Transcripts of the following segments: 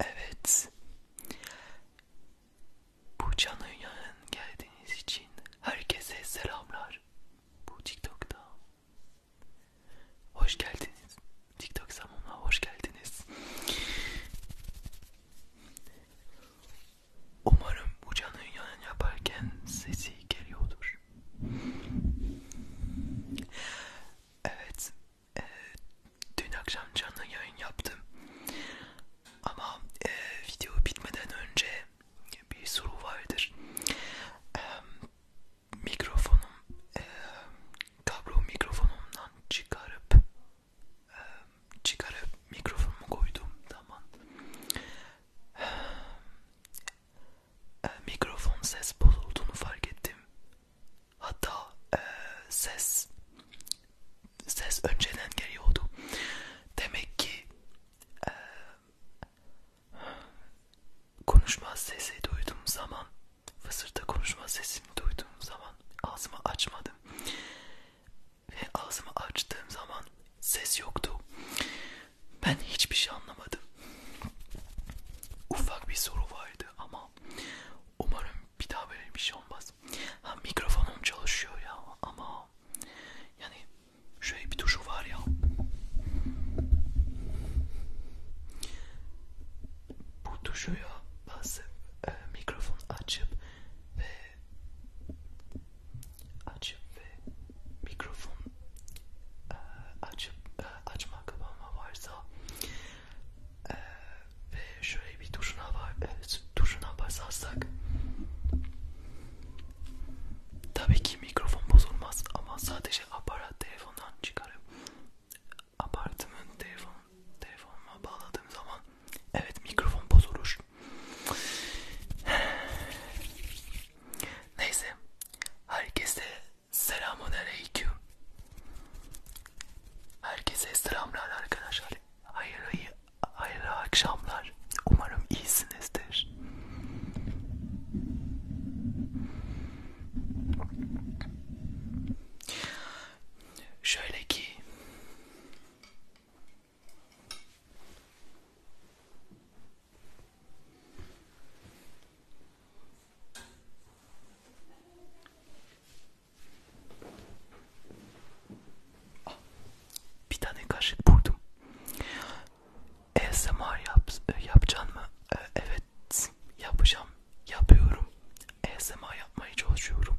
Evet. Bu canın yanına geldiğiniz için herkese selamlar. Bu TikTok'ta. Hoş geldiniz. TikTok zamanına hoş geldiniz. Umarım bu canlı yayın yaparken sesi geliyordur. Evet, e, dün akşam canlı yayın yaptım. Ama e, video bitmeden önce bir soru vardır. E, mikrofonum, e, kablo mikrofonumdan çıkarıp çıkarıp mikrofonumu koyduğum zaman mikrofon ses bozulduğunu fark ettim. Hatta e, ses ses önceden geliyordu. Demek ki e, konuşma sesi duyduğum zaman fısırda konuşma sesini duyduğum zaman ağzımı açmadım. Ve ağzımı açtığım zaman ses yoktu. Ben hiçbir şey anlamadım. Ufak bir soru vardı ama umarım bir daha böyle bir şey olmaz. Ha mikrofonum çalışıyor ya ama yani şöyle bir tuşu var ya. Bu tuşuya basıp e, mikrofon açıp ve açıp ve mikrofon e, açıp e, açma kapama varsa e, ve şöyle bir tuşuna var e, tuşuna basarsak tabii ki mikrofon bozulmaz ama sadece aparat telefondan çıkarım apartımın telefon telefonuma bağladığım zaman Evet mikrofon bozulur. Neyse. Herkese selamun aleyküm. Herkese selamlar arkadaşlar. Hayırlı, hayırlı akşamlar. Umarım iyisinizdir. Şöyle ki Ah, bir tane kaşık buldum. ASMR yap, yapacaksın mı? Ee, evet yapacağım. Yapıyorum. ASMR yapmaya çalışıyorum.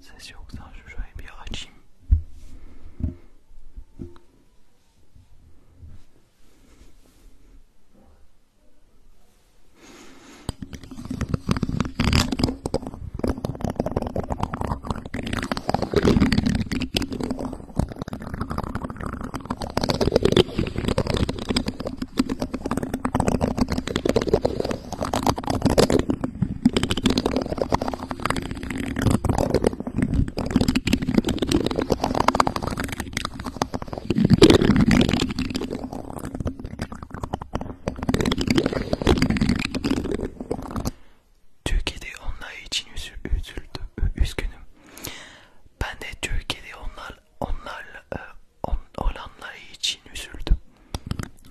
C'est sûr que ça, je joue bien Biorachim. Türkiye'de onlar için üzüldüm, üzgünüm. Ben de Türkiye'de onlar, onlarla, e, on, olanlar için üzüldüm.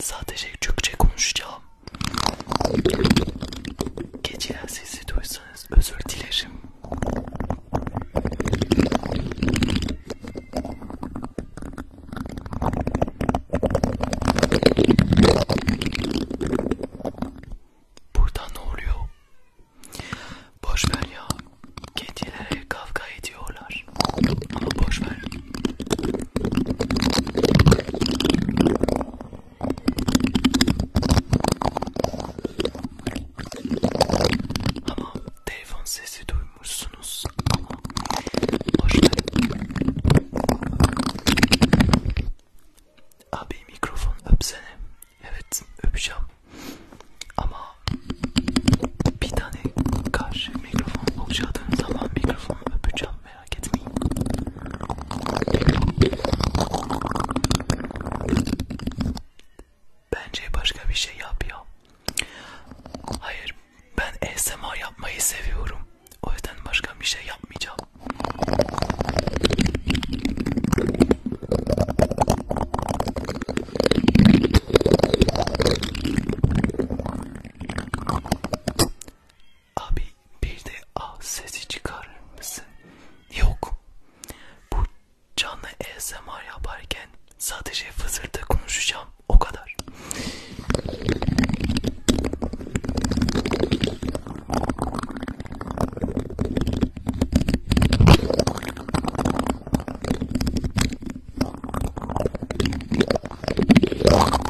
sadece Türkçe konuşacağım. Geçilen sesi duysanız özür dilerim. Burada ne oluyor? Boşver ya. Kedilere kavga ediyorlar var. Ama boş ver. Ama telefon sesi duymuşsunuz ama boş ver. Abi mikrofon öpsene. Evet öpeceğim. Ama bir tane karşı mikrofon bulacağım zaman mikrofonu öpeceğim merak etmeyin. Bence başka bir şey yap ya. Hayır, ben ASMR yapmayı seviyorum. O yüzden başka bir şey yapmayacağım. Abi bir de ah sesi çıkarır mısın? Yok. Bu canlı ASMR yaparken sadece fısırda konuşacağım. O kadar.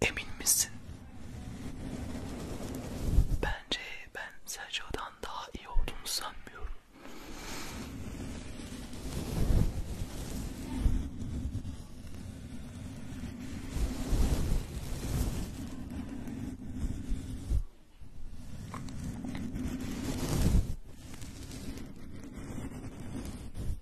Emin misin? Bence ben Sergio'dan daha iyi olduğunu sanmıyorum.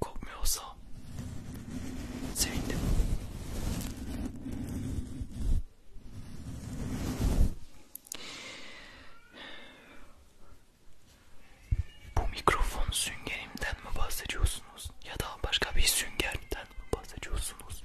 Kopmuyorsa sevindim. Bu mikrofon süngerimden mi bahsediyorsunuz ya da başka bir süngerden mi bahsediyorsunuz?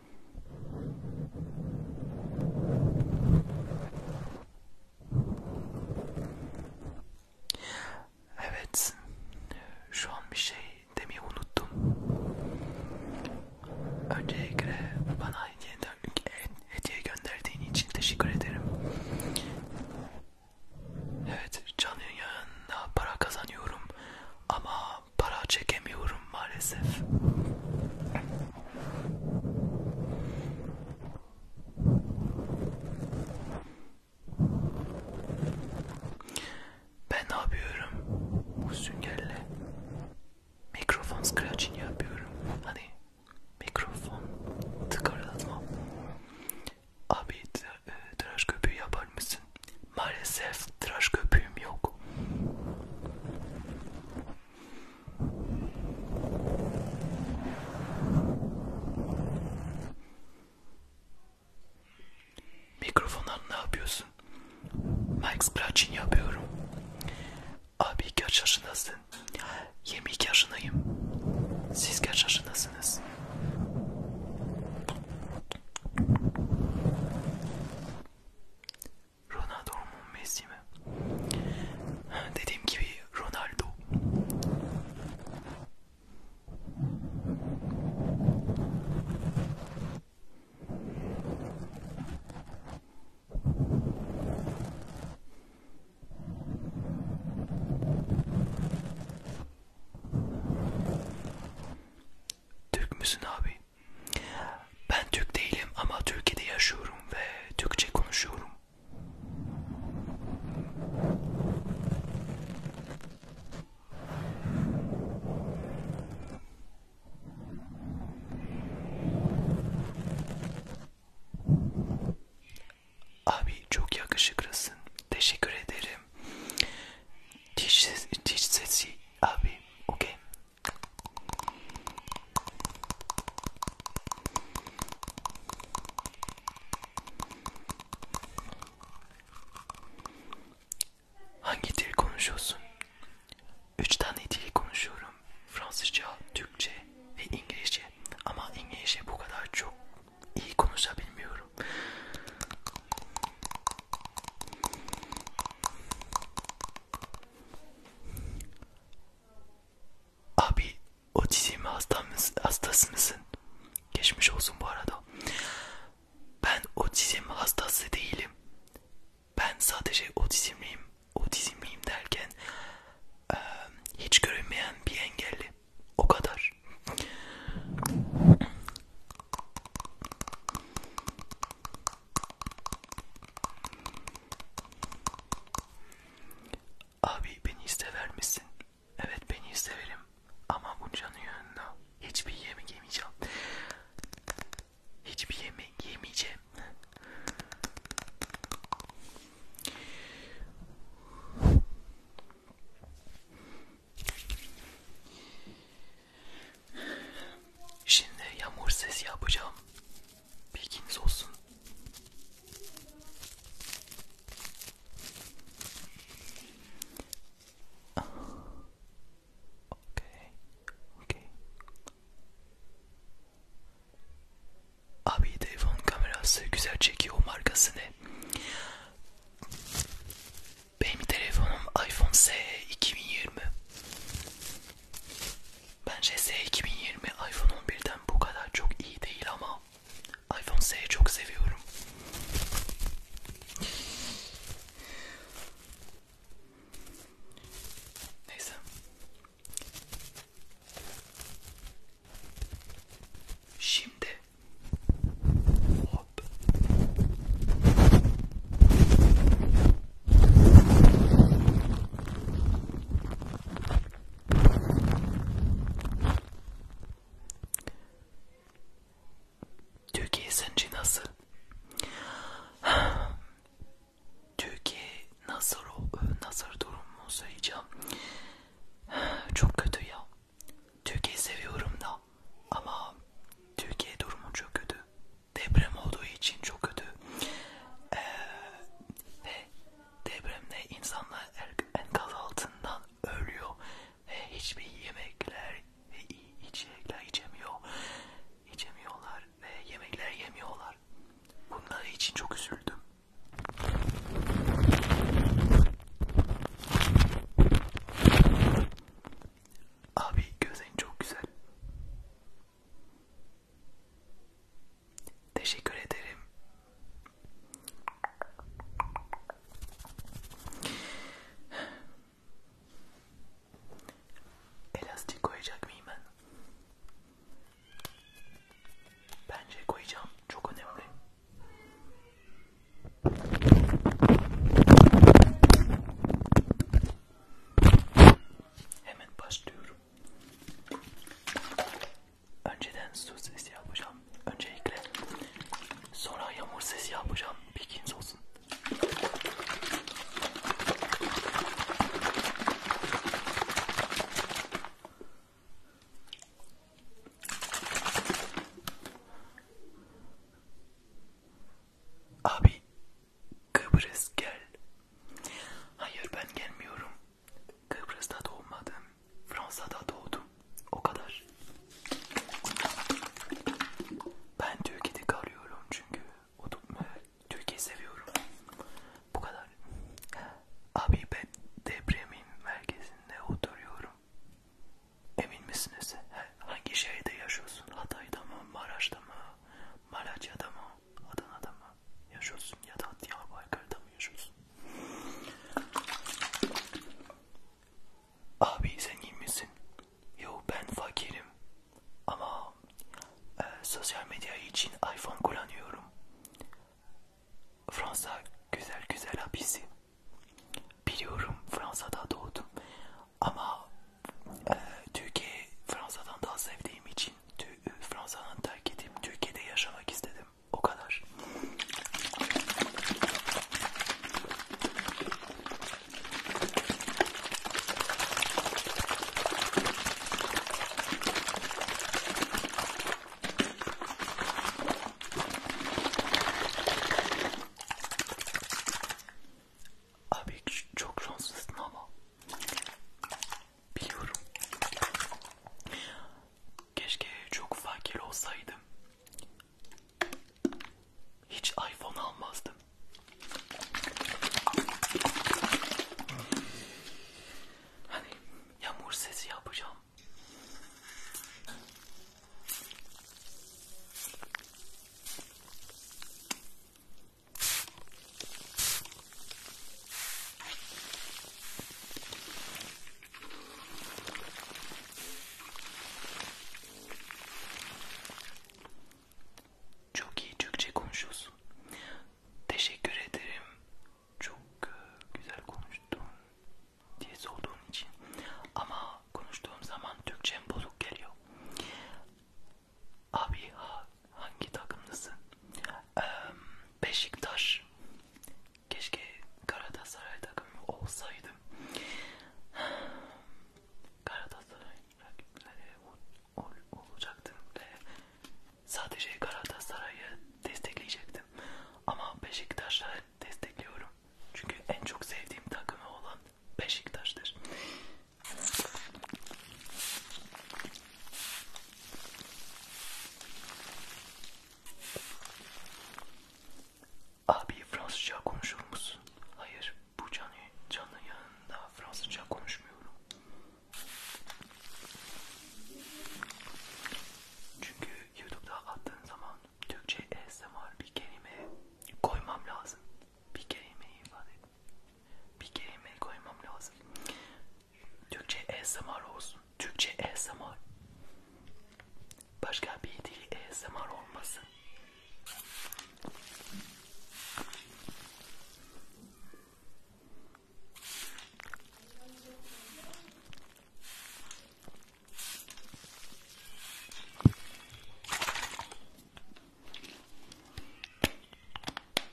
Evet, şu an bir şey demeyi unuttum. Öncelikle bana hediye gönderdiğin için teşekkür ederim. Evet, canlı yayında para kazanıyorum ama para çekemiyorum maalesef. Ben ne yapıyorum? Bu süngerle mikrofon scratching yapıyorum. Hani mikrofon tıkırdatma. Abi e, tıraş köpüğü yapar mısın? Maalesef tıraş köpüğüm yok. Mikrofondan ne yapıyorsun? Max Brachin yapıyorum. Abi kaç yaşındasın? 22 yaşındayım. Siz kaç yaşındasınız? Ronaldo mu Messi mi? Dediğim gibi Ronaldo. Türk müsün abi? Ben Türk değilim ama Türkiye'de yaşıyorum ve Türkçe konuşuyorum. Abi çok yakışıklısın. Teşekkür ederim. Diş, ses, diş sesi abi. Okey. Hangi dil konuşuyorsun? Üç tane dil konuşuyorum. Fransızca, Türkçe ve İngilizce. Ama İngilizce bu kadar çok iyi konuşabilmiyorum. Abi otizm hasta mısın, hastası mısın? Geçmiş olsun bu arada. Ben otizm hastası değilim. Ben sadece otizmliyim. Otizmliyim derken e, hiç görünmeyen bir engelli. O kadar. Abi beni istever misin? Evet beni isteverim ama buncanın yanında hiçbir yemek yemeyeceğim. Hiçbir yemek yemeyeceğim. Şimdi yağmur sesi yapacağım. Bilginiz olsun. Ah, okay. Okay. Abi telefon kamerası güzel çekiyor markası ne? Benim telefonum iPhone SE 2020. Bence S2020 iPhone 11'den bu kadar çok iyi değil ama iPhone S'yi çok seviyorum. Neyse. Şimdi hop. Türkiye sence nasıl? Türkiye nasıl nasıl durumu söyleyeceğim. Çok kötü ya. Türkiye seviyorum da ama Türkiye durumu çok kötü. Deprem olduğu için çok kötü. Ee, ve depremde insanlar er, enkaz altından ölüyor ve hiçbir yemekler ve içecekler içemiyor, içemiyorlar ve yemekler yemiyorlar. Bunlar için çok üzüldüm. Abi gözlerin çok güzel. Teşekkür ederim. Elastik koyacak mıyım ben? Bence koyacağım. Çok önemli. Hemen başlıyorum. Önceden su sesi yapacağım. Öncelikle sonra yağmur sesi yapacağım. Bilginiz olsun. Abi Kıbrıs gel. Hayır ben gelmiyorum. Kıbrıs'ta doğmadım, Fransa'da doğdum. O kadar. Ben Türkiye'de kalıyorum çünkü Türkiye'yi seviyorum. Bu kadar. Abi ben depremin merkezinde oturuyorum. Emin misiniz? Hangi şehirde yaşıyorsun? Hatay'da mı? Maraş'ta mı? Malatya'da mı? Adana'da mı? mı yaşıyorsun ya da Diyarbakır'da mı yaşıyorsun? Abi zengin misin? Yo ben fakirim ama e, sosyal medya için iPhone kullanıyorum. Fransa güzel güzel abisi. Biliyorum Fransa'da doğdum ama e, Türkiye Fransa'dan daha sevdiğim için Fransa'dan terk edeyim, Türkiye'de yaşamak istedim. O kadar. Abi çok şanslısın ama biliyorum. Keşke çok fakir olsaydım. Hiç iPhone almazdım. Hani yağmur sesi yapacağım. Çok iyi Türkçe konuşuyorsun. Teşekkür ederim. Çok e, güzel konuştun diye sorduğun için. Ama konuştuğum zaman Türkçem bozuk geliyor. Abi ha Hangi takımlısın? Ee, Beşiktaş. Keşke Galatasaray takımı olsaydım. Galatasaray rakipleri ol, ol, olacaktım ve sadece Galatasaray'ı destekleyecektim. Ama Beşiktaş'ı destekliyorum. Çünkü en çok sevdiğim takımı olan Beşiktaş'tır. Abi Fransızca konuşur musun? Hayır, bu canı, canın yanında Fransızca konuşmuyorum. Çünkü YouTube'da attığın zaman Türkçe ASMR bir kelime koymam lazım. Bir kelimeyi ifade Bir kelime koymam lazım. Türkçe ASMR olsun. Türkçe ASMR. Başka bir dil ASMR olmasın.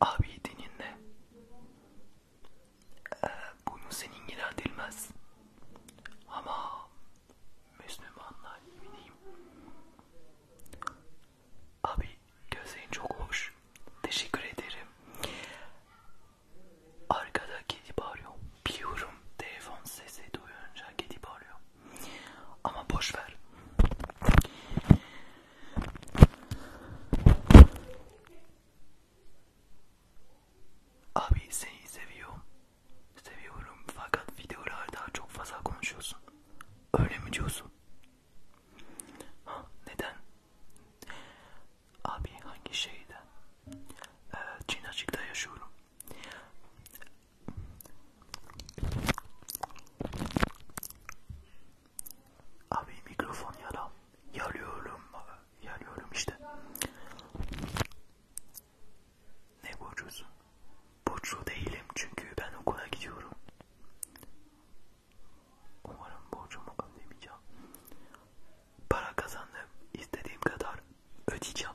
Abi dininle ee, bunu senin ilgilendirmez ama Müslümanlar yemineyim. Abi gözlerin çok hoş. Teşekkür ederim. Arkada gidip arıyor. Biliyorum telefon sesi duyunca gidip arıyor. Ama boş ver. Abi seni seviyorum. Seviyorum fakat videolarda çok fazla konuşuyorsun. Öyle mi diyorsun? Ha, neden? Abi hangi şeyde? Ee, Çinacık'ta yaşıyorum. Abi mikrofon yala. Yalıyorum. Yalıyorum işte. Ne borcusun? Borçlu değilim çünkü ben okula gidiyorum. Umarım borcumu ödemeyeceğim. Para kazandım. İstediğim kadar ödeyeceğim.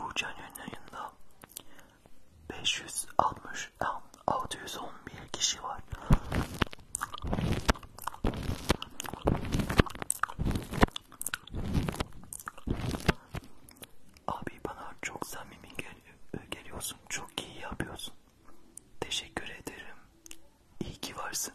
Burcan yayında 560 611 kişi var. Abi bana çok samimi gel e, geliyorsun. Çok iyi yapıyorsun. Teşekkür ederim. İyi ki varsın.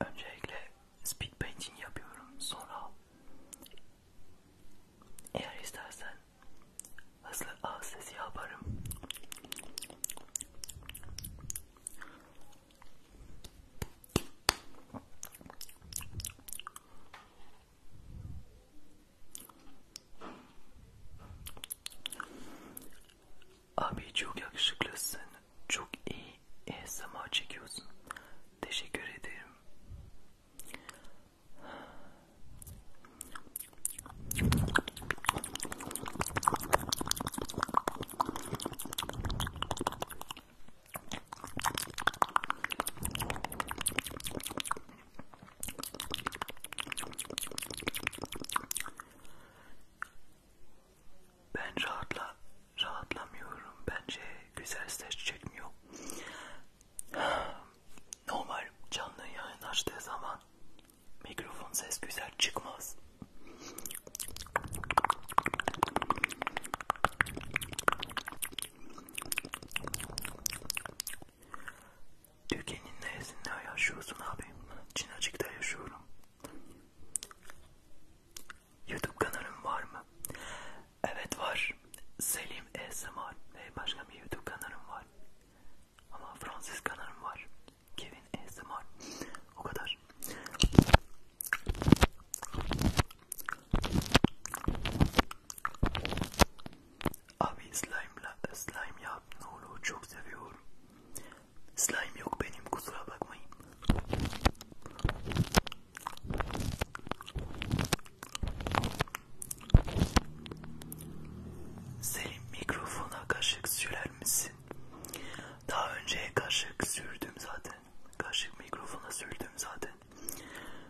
Öncelikle speed painting yapıyorum. Sonra eğer istersen hızlı ağız sesi yaparım. Abi çok yakışıklısın. Çok iyi ASMR çekiyorsun. Teşekkür ederim. Ben rahatla rahatlamıyorum. Bence güzel ses çekmiyor. Normal canlı yayın açtığı zaman mikrofon ses güzel çıkmaz. Türkiye'nin neresinde yaşıyorsun abi? Çinacık'ta yaşıyorum. Youtube kanalım var mı? Evet var. Selim ASMR ve başka bir Youtube kanalım var. Ama Fransız kanalım var. Kevin ASMR. O kadar. Abi slime'la slime yap ne olur çok seviyorum. Slime yok benim kusura bakmayın. Selim mikrofona kaşık sürer misin? Daha önce kaşık sürdüm zaten. Kaşık mikrofona sürdüm zaten.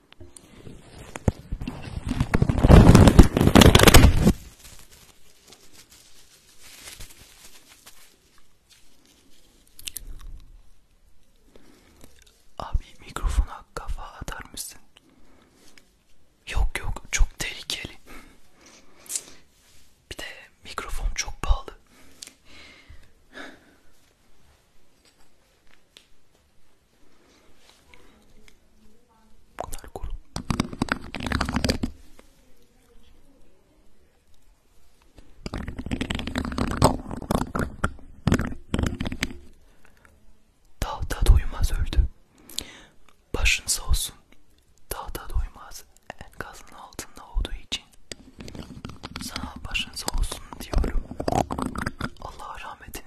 Abi mikrofona kafa atar mısın? Yok yok çok tehlikeli. Bir de mikrofon çok pahalı. Bu kadar kuru. Dağda doymaz öldü. Başın sağ olsun. Dağda doymaz enkazın altında olduğu için sana başın sağ olsun diyorum. Allah rahmetine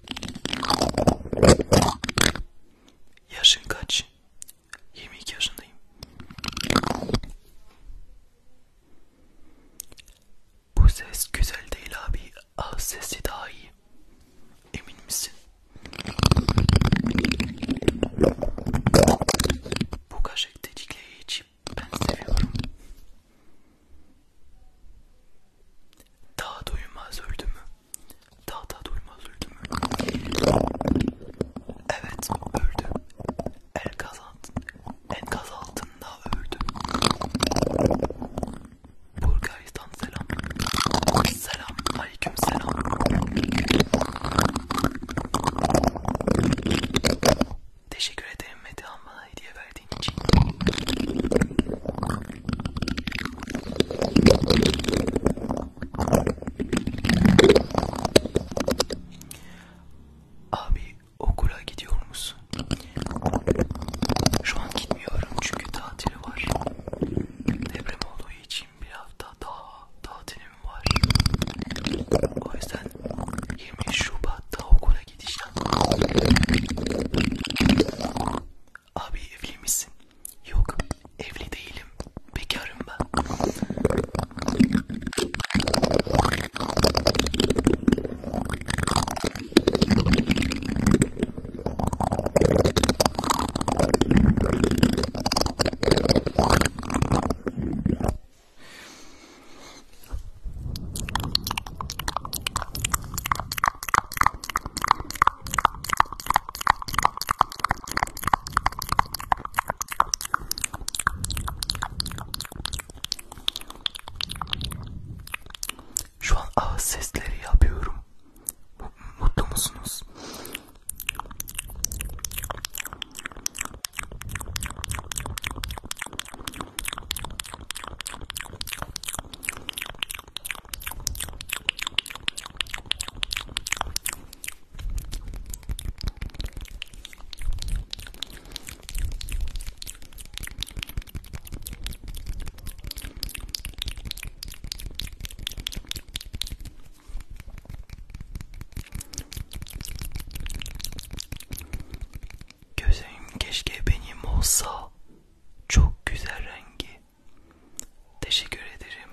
Yaşın kaç? 22 yaşındayım. Bu ses güzel değil abi. Ağız sesi daha iyi. Emin misin? Bu kaşık dedikleri içi ben seviyorum. Daha doyulmaz öldü mü? Daha da duymaz öldü mü? Evet öldü. Enkaz, enkaz altında öldü. Bulgaristan selam. Selam. Aleyküm selam. Teşekkür ederim Metehan bana hediye verdiğin için. Abi okula gidiyor musun? Şu an gitmiyorum çünkü tatili var. Deprem olduğu için bir hafta daha tatilim var. O yüzden 20 Şubat'ta okula gideceğim. Abi evli misin? Yok evli değilim. Bekarım ben. Şu an ağız sesleri yapıyorum. Mutlu musunuz? Gözlerim keşke benim olsa çok güzel rengi Teşekkür ederim.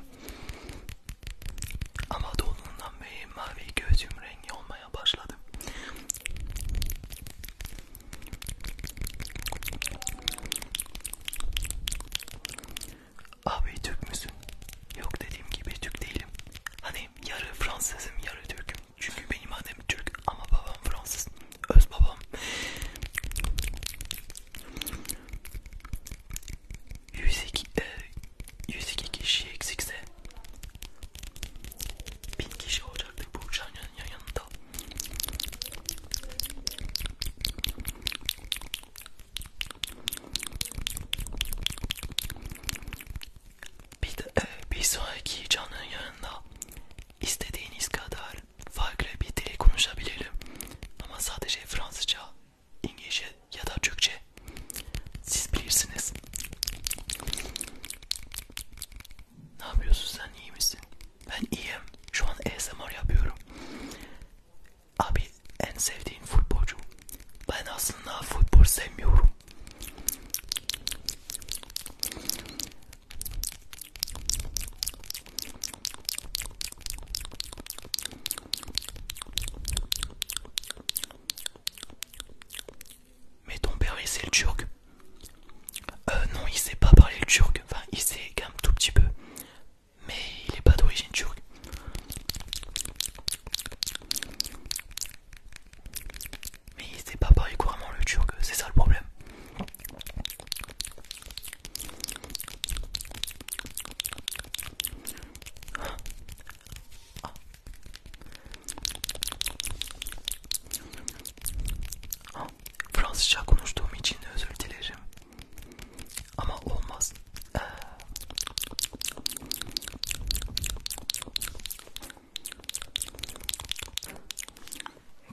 Ama doğduğundan beri mavi gözüm rengi olmaya başladı. Abi Türk müsün? Yok dediğim gibi Türk değilim. Hani yarı Fransızım yarı Türk'üm. Çünkü benim annem Türk ama babam Fransız öz babam. Yüz iki, e, yüz iki kişi eksikse bin kişi olacaktı bu uçağın yan, yanında. Bir, de, e, bir sonraki canın yanında istediğiniz kadar farklı bir dili konuşabilelim. Ama sadece Fransızca, İngilizce ya da Türkçe. Siz bilirsiniz. Ne yapıyorsun sen iyi misin? Ben iyiyim. Şu an ASMR yapıyorum. Abi en sevdiğin futbolcu. Ben aslında futbol sevmiyorum. Mais ton père il sait le turc Euh non il sait pas parler le turc, enfin il sait quand tout petit peu mais il est pas d'origine turque. Mais il sait pas parler couramment le turc, c'est ça le problème. Fransızca konuştuğum için özür dilerim. Ama olmaz. Ee...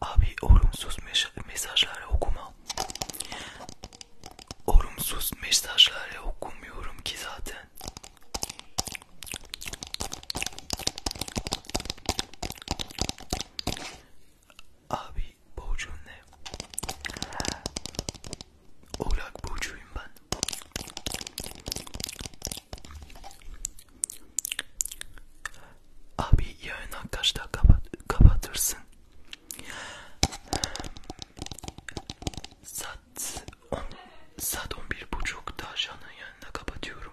Abi olumsuz mesajları okuma. Olumsuz mesajları okumuyorum ki zaten. Abi burcun ne? Oğlak burcuyum ben. Abi yayına kaçta kapat kapatırsın? Saat on, saat on bir buçukta canın yanına kapatıyorum.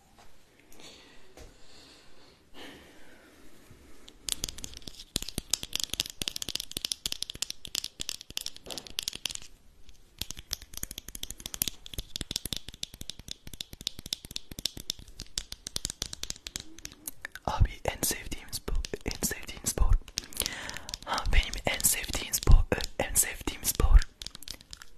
Abi en sevdiğim in en sevdiğim spor. Ha benim en sport. spor, en sevdiğim sport.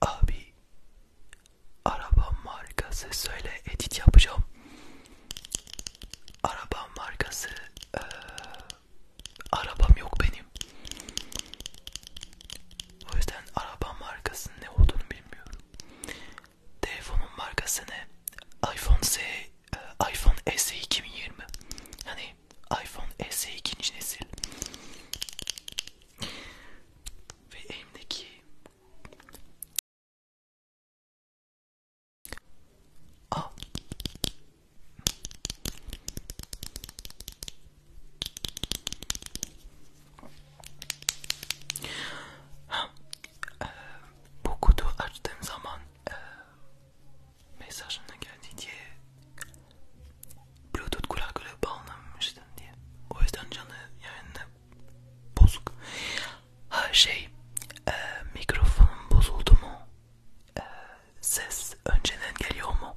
Abi araba markası söyle edit yapacağım. Araba markası ee, Arabam yok benim. O yüzden araba markasının ne olduğunu bilmiyorum. Telefonun markası ne? iPhone S, e, iPhone SE 2020. Hani iPhone SE ikinci nesil. Ve elimdeki Aa, Ha, e, bu kutu açtığım zaman e, mesajına geldi diye Bluetooth kulaklığı bağlanmıştım diye. O yüzden canı yayında bozuk. Ha şey, e, mikrofonum bozuldu mu? E, ses önceden geliyor mu?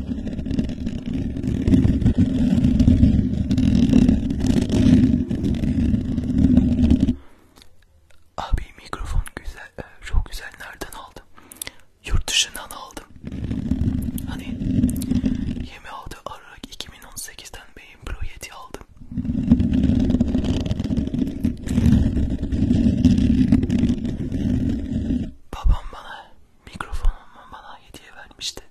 Abi mikrofon güzel, e, çok güzel nereden aldım? Yurt dışından aldım. Hani 26 Aralık 2018'den benim Pro 7 aldım. Babam bana mikrofonumu bana hediye vermişti.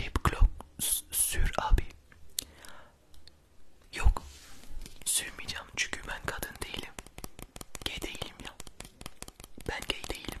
Lip gloss sür abi. Yok. Sürmeyeceğim çünkü ben kadın değilim. Gay değilim ya. Ben gay değilim.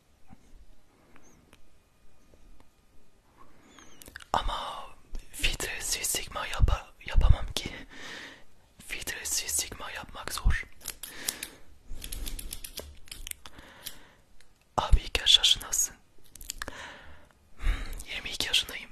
Ama filtresiz sigma yapa, yapamam ki. Filtresiz sigma yapmak zor. Abi kaç yaşındasın? 22 hmm, yaşındayım.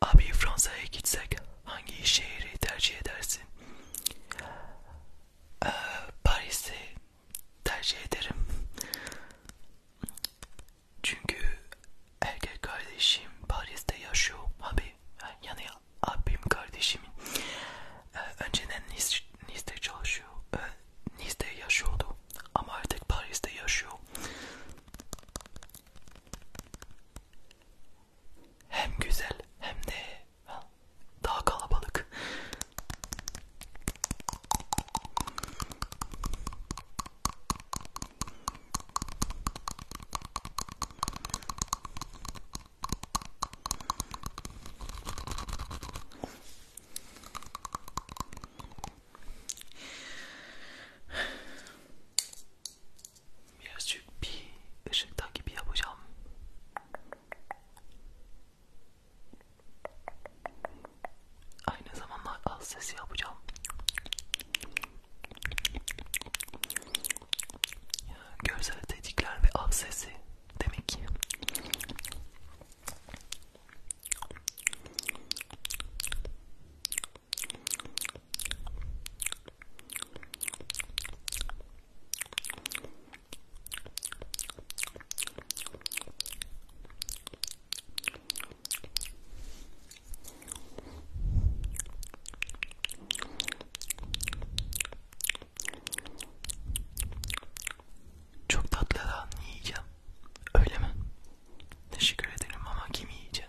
Abi Fransa'ya gitsek hangi şehri tercih edersin? e, Paris'i tercih ederim. Çünkü erkek kardeşim Paris'te yaşıyor. Abi yani abim kardeşimin e, ee, önceden Nice, Nice'de çalışıyor. E, Nice'de yaşıyordu ama artık Paris'te yaşıyor. Hem güzel hem de daha kalabalık. Birazcık bir ışık takibi yapacağım. Aynı zamanda az sesi yapacağım. Görsel tetikler ve az sesi demek ki. Çok tatlı lan yiyeceğim. Öyle mi? Teşekkür ederim ama kim yiyecek?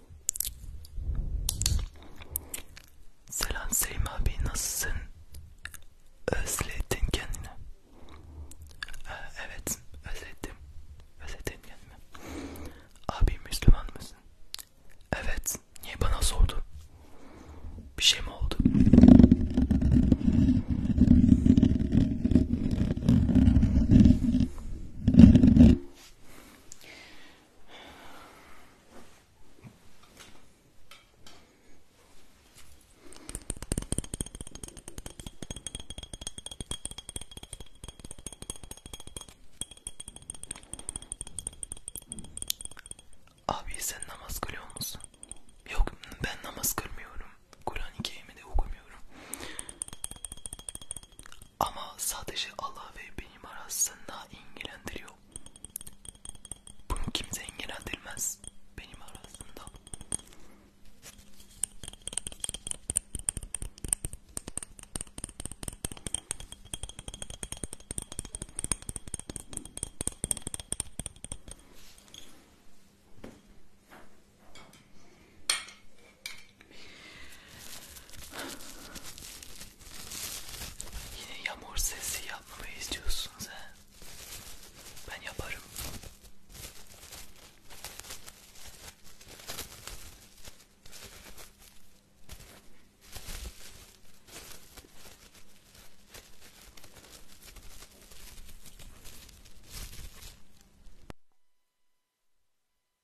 Selam Selim abi nasılsın? Özledin kendini. Ee, evet özledim. Özledim kendimi. Abi Müslüman mısın? Evet. Niye bana sordun? Bir şey mi oldu? Abi sen namaz kılıyor musun? Yok ben namaz kılmıyorum. Kur'an-ı Kerim'i de okumuyorum. Ama sadece Allah ve benim arasında ilgilendiriyor. Bunu kimse ilgilendirmez benim arasında. Yine yağmur sesi yapmamı istiyorsunuz he? Ben yaparım.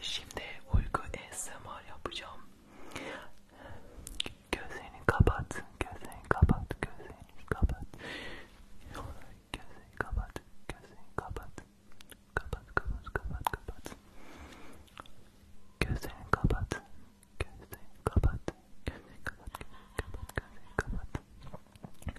Şimdi uyku ASMR yapacağım. Gözlerini kapat, gözlerini kapat, gözlerini kapat. Gözlerini kapat, gözlerini kapat. Kapat, kapat, kapat, kapat. Gözlerini kapat. Gözlerini kapat. Gözlerini kapat, gözlerini kapat, gözlerini kapat.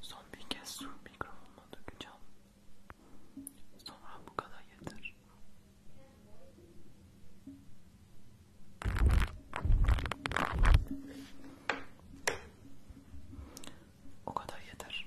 Son bir kez su mikrofonuma dökeceğim. Sonra bu kadar yeter. O kadar yeter.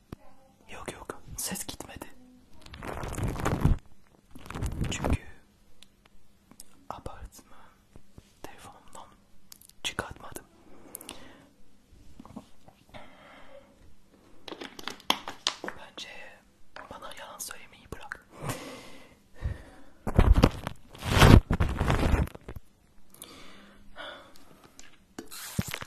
Yok yok ses gitmedi. Çünkü apartımı telefonumdan çıkartmadım. Bence bana yalan söylemeyi bırak.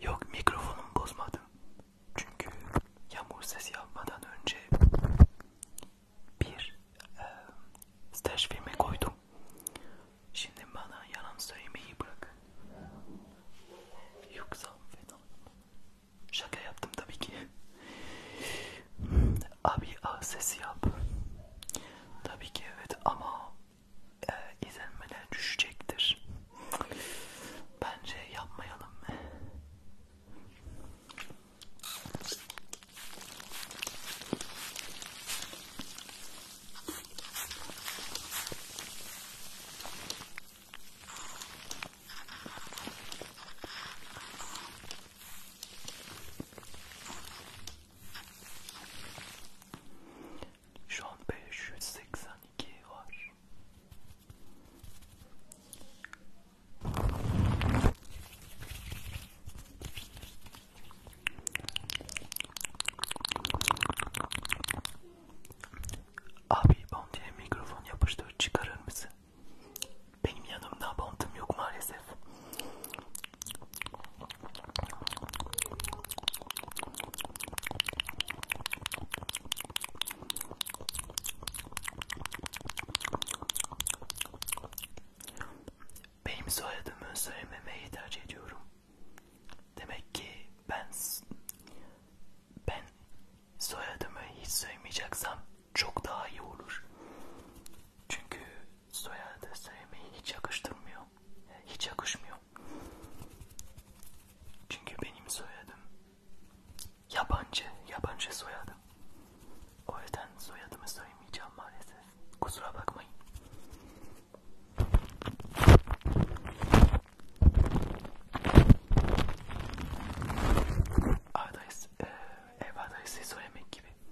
Yok mikrofonumu bozmadım. Çünkü yağmur sesi yapmadan önce bir e, staj filmi koydum. Şimdi bana yalan söylemeyi bırak. Yoksa fena. Şaka yaptım tabii ki. Abi ağız sesi yap. Tabii ki evet ama e, izlenmeler düşecektir. Bence yapmayalım. Şu an 582 var. Abi boncaya mikrofon yapıştır çıkarır mısın? Benim yanımda bantım yok maalesef. Benim soyadımı söylememeyi tercih ediyorum. Demek ki ben ben soyadımı hiç söylemeyeceksem çok daha iyi olur. Çünkü soyadı söylemeyi hiç yakıştırmıyor. Yani hiç yakışmıyor. Çünkü benim soyadım yabancı, yabancı soyadım. O yüzden soyadımı söylemeyeceğim maalesef. Kusura bakmayın. Adres, ev adresi söylemek gibi.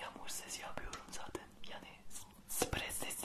Yağmur sesi yapıyorum zaten. Yani sprey sesi.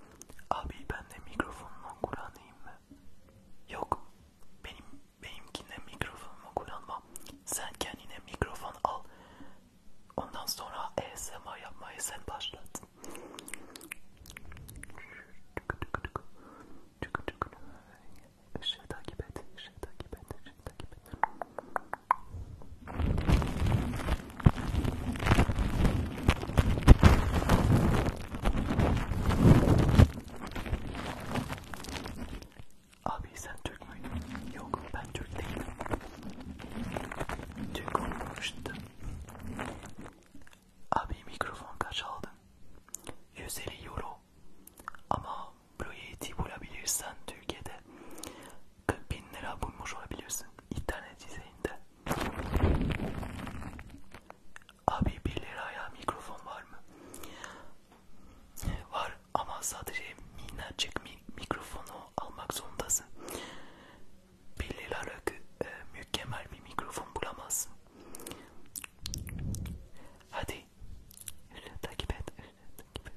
Abi ben de mikrofonuma kullanayım mı? Yok. Benim benimkine mikrofonumu kullanma. Sen kendine mikrofon al. Ondan sonra ASMR yapmayı sen başlat. Işığı takip et, ışığı takip et, ışığı takip et. Abi sen Türk müydün? Yok ben Türk değilim. Türk olmamıştım. Abi mikrofon kaç aldın? 150 euro. Ama Blue'yi bulabilirsen Türkiye'de 40 bin lira bulmuş olabilirsin internet düzeyinde. Abi 1 liraya mikrofon var mı? Var ama sadece minnacık mi mikrofonu almak zorundasın. 1 liralık e, mükemmel bir mikrofon bulamazsın. Hadi takip et. Takip et.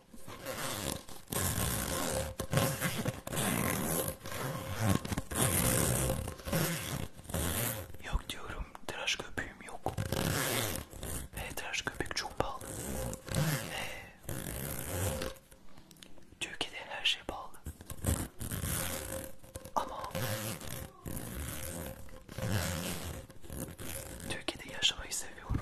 Yok diyorum tıraş köpüğüm yok. E, tıraş köpük çok pahalı. E, Türkiye'de her şey pahalı. Ama Türkiye'de yaşamayı seviyorum.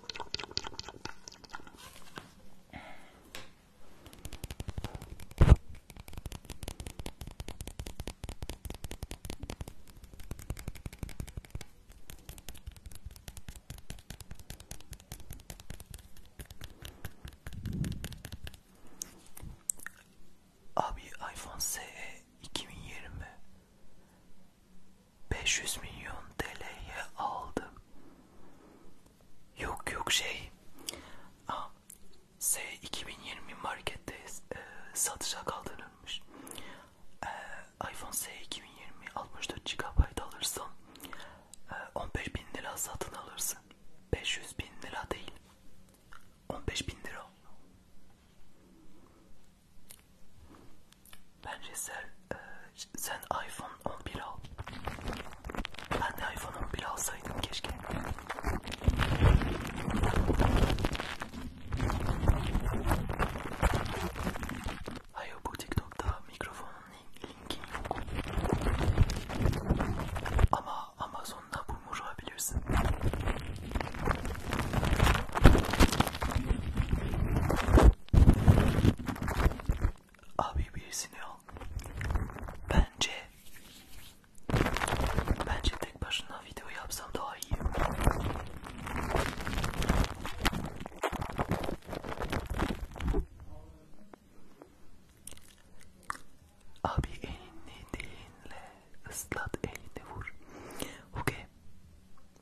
Abi iPhone SE 2020 500 milyon TL'ye aldım. Yok yok şey. Aa, S 2020 markette e, satışa kaldırılmış. E, iPhone S 2020 64 GB alırsan e, 15 bin lira satın alırsın. 500 bin lira değil. 15 bin lira. Bence sen, e, sen iPhone 11 al. Ben de iPhone 11 alsaydım keşke. Hayır bu TikTok'ta mikrofonun linki yok. Ama Amazon'da bunu alabilirsin. Abi birisini al. Bence bence tek başına video yapsam daha iyi. Abi elini değinle ıslat elini vur. Okey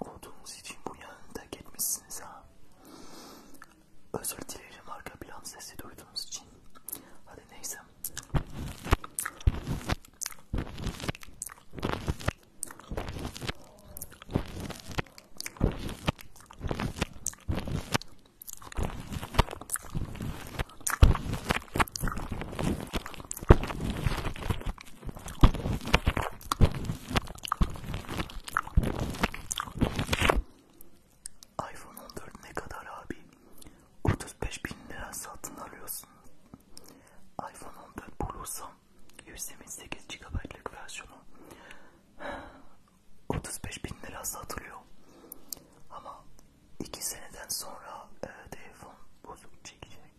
Olduğunuz için bu yanında gitmişsiniz ha. Özür dilerim arka plan sesi duyduğunuz için. Hadi neyse iPhone 14 ne kadar abi? 35 bin lira satın alıyorsun. iPhone 14 bulursam 128 GB'lık versiyonu 35 bin lira satılıyor. Ama 2 seneden sonra e, telefon bozuk çekecek.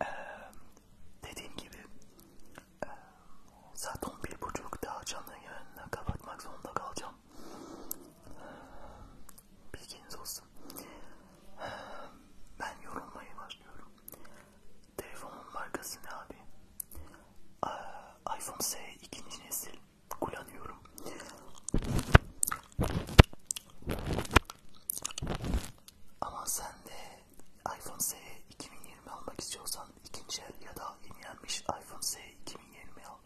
Ee, dediğim gibi e, saat 11.30'da canlı yayını kapatmak zorunda kalacağım. Bilginiz olsun. Ben yorulmaya başlıyorum. Telefonun markası ne abi? iPhone SE ikinci nesil kullanıyorum. Ama sen de iPhone SE 2020 almak istiyorsan ikinci el ya da yenilenmiş iPhone SE 2020 al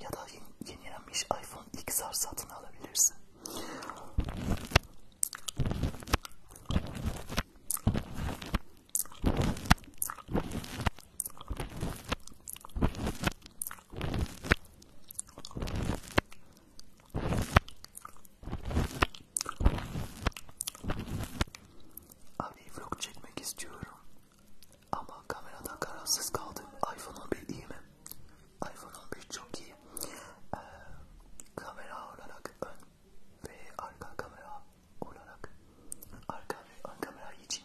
ya da yenilenmiş iPhone XR satın alabilirsin. Abi vlog çekmek istiyorum ama kameradan kararsız kaldım. iPhone 11 iyi mi? iPhone 11 çok iyi. Ee, kamera olarak ön ve arka kamera olarak arka ve ön kamera için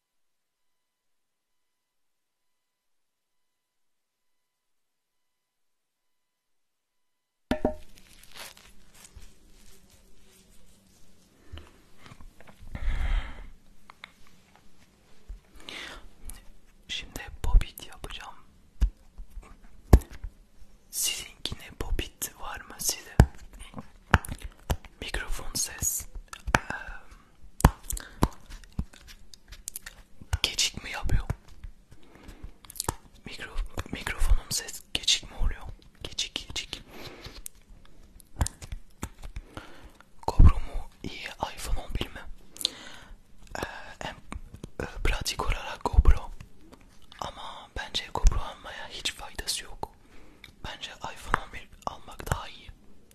Şimdi bobit yapacağım. Sizinkine bobit var mı size? Mikrofon ses. Um, Geçik mi yapıyor? Mikro, mikrofonum ses geçik mi oluyor? Geçik geçik. Kobra mu iyi iPhone 11 mi? Ee, en e, pratik olarak GoPro ama bence GoPro almaya hiç faydası yok. Bence iPhone 11 almak daha iyi.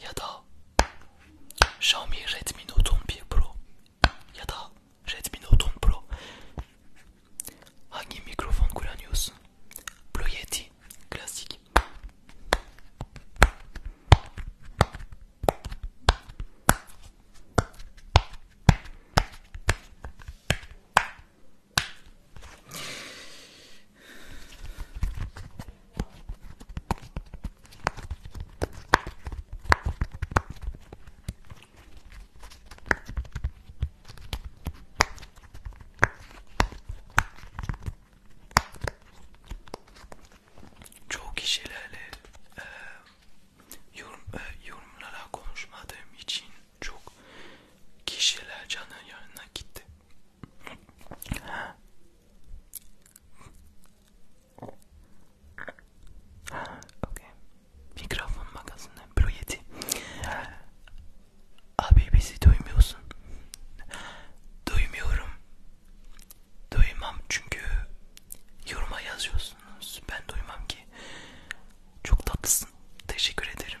Yada, Xiaomi Redmi Note 11 Pro Yada, Redmi Note 10 Pro hangi Microphone kullanıyorsun? Blue Yeti classique. Çok kişilerle e, yorum, e, yorumlara konuşmadığım için çok kişiler canın yanına gitti okay. Mikrofon makasını Blue Yeti. Abi bizi duymuyorsun. Duymuyorum. Duymam çünkü yoruma yazıyorsunuz. Ben duymam ki. Çok tatlısın. Teşekkür ederim.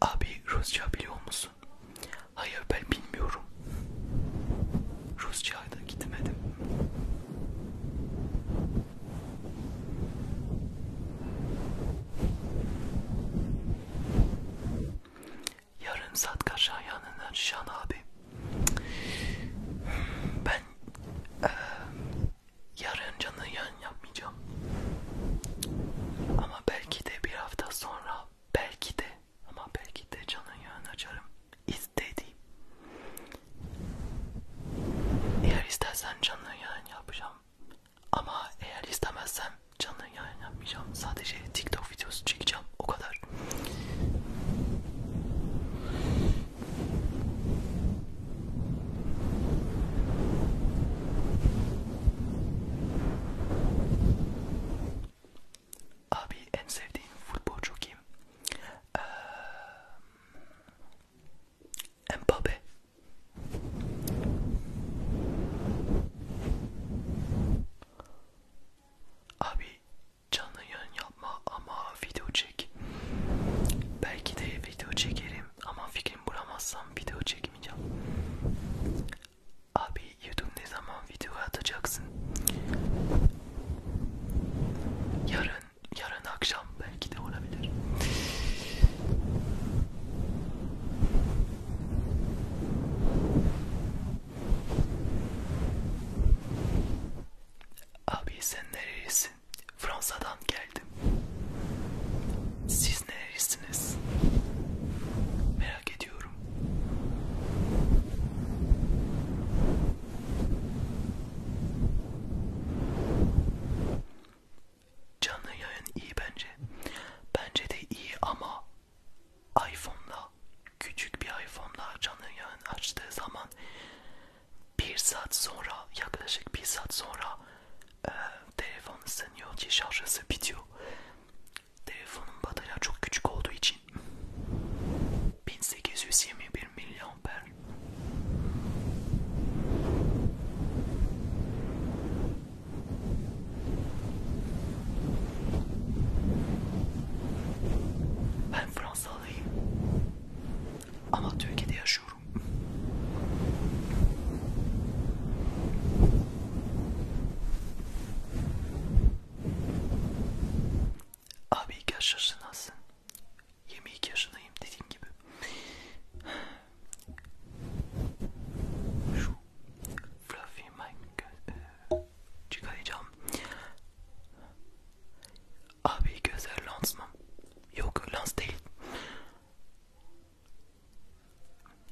Abi Rusça biliyor musun? Hayır ben bilmiyorum. Rusça'ya da gitmedim. Yarım saat kaşan yanından Şan abi. Ben e, yarın canın yan ben yapmayacağım. Ama belki de bir hafta sonra belki de ama belki de canın yön açarım. İstediğim. Eğer istersen canlı yayın yapacağım. Ama eğer istemezsem canlı yayın yapmayacağım. Sadece TikTok videosu çekeceğim. O kadar. Abi en sevdiğim futbolcu kim? Ee, Mbappe. Abi canlı yayın yapma ama video çek. Belki de video çekerim ama fikrim Üçgen bulamazsam video çekmeyeceğim. Abi YouTube ne zaman video atacaksın? Yarın, yarın akşam belki de olabilir. Abi sen nerelisin? Fransa'dan geldim. Siz siz nerelisiniz? Merak ediyorum. Canlı yayın iyi bence. Bence de iyi ama iPhone'la küçük bir iPhone'la canlı yayın açtığı zaman bir saat sonra yaklaşık bir saat sonra e, ee, telefon ısınıyor diye şarjası bitiyor. Telefonun batarya çok küçük olduğu için 1821 miliamper. Ben Fransalıyım ama Türkiye'de yaşıyorum. Abi iki yaşasın aslında. 22 yaşındayım dediğim gibi. Şu fluffy mic e, çıkaracağım. Abi gözler lens mı? Yok lens değil.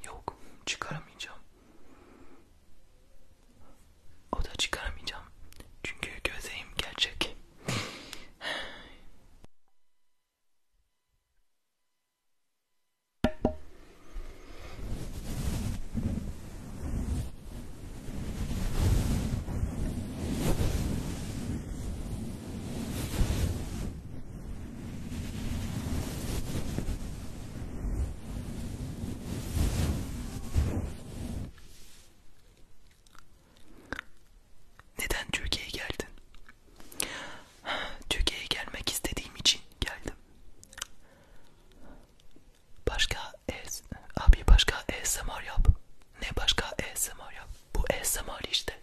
Yok, çıkaramayacağım. O da çıkaramayacağım. Çünkü gözeğim gerçek. Neden Türkiye'ye geldin? Türkiye'ye gelmek istediğim için geldim. Başka es, abi başka ASMR er yap. Ne başka ASMR er yap? Bu ASMR er işte.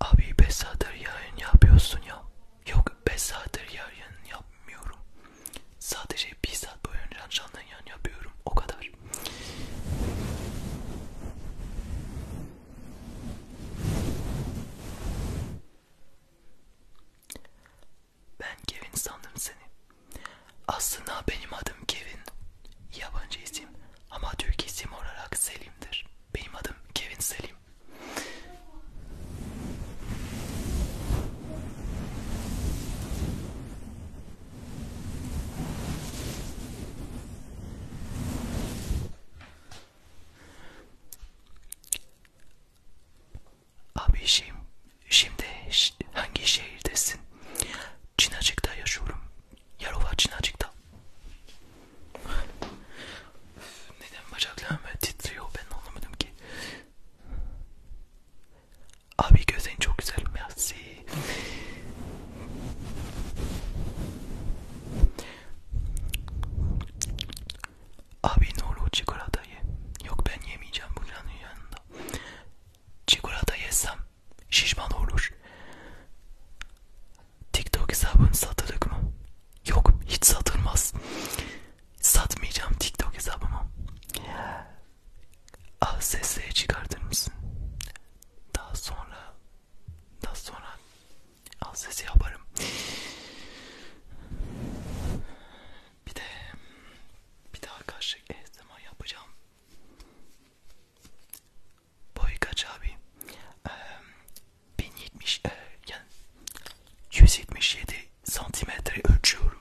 Abi 5 saattir yayın yapıyorsun ya. Yok 5 saattir yayın yapmıyorum. Sadece bir saat boyunca canlı yan yapıyorum. O kadar. Ben Kevin sandım seni. Aslında benim adım Kevin. Yabancı isim ama Türk isim olarak Selim'dir. Benim adım Kevin Selim. Abi şeyim, şimdi hangi şehirdesin? Çinacık'ta yaşıyorum. Yarova Çinacık'ta. Neden bacaklarım titriyor ben anlamadım ki. Abi gözlerin çok güzel merci. Abi nolu çikolatayı. Yok ben yemeyeceğim buranın yanında. Çikolata yesem şişman olur. TikTok hesabın satılık mı? Yok hiç satılmaz. Satmayacağım TikTok hesabımı. Ah sesleri çıkartır mısın? Daha sonra daha sonra al sesi yaparım. Bir de bir daha karşı zaman yapacağım. Boy kaç abi? Ee, 1070 e, yani 177 santimetre ölçüyorum.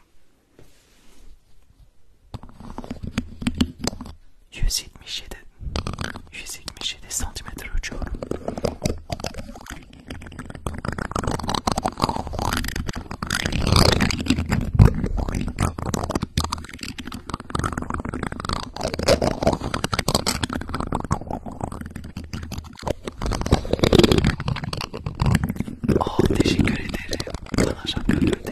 177 177 santimetre uçuyorum. Oh, ah, teşekkür ederim. Bana şaka gönderdi.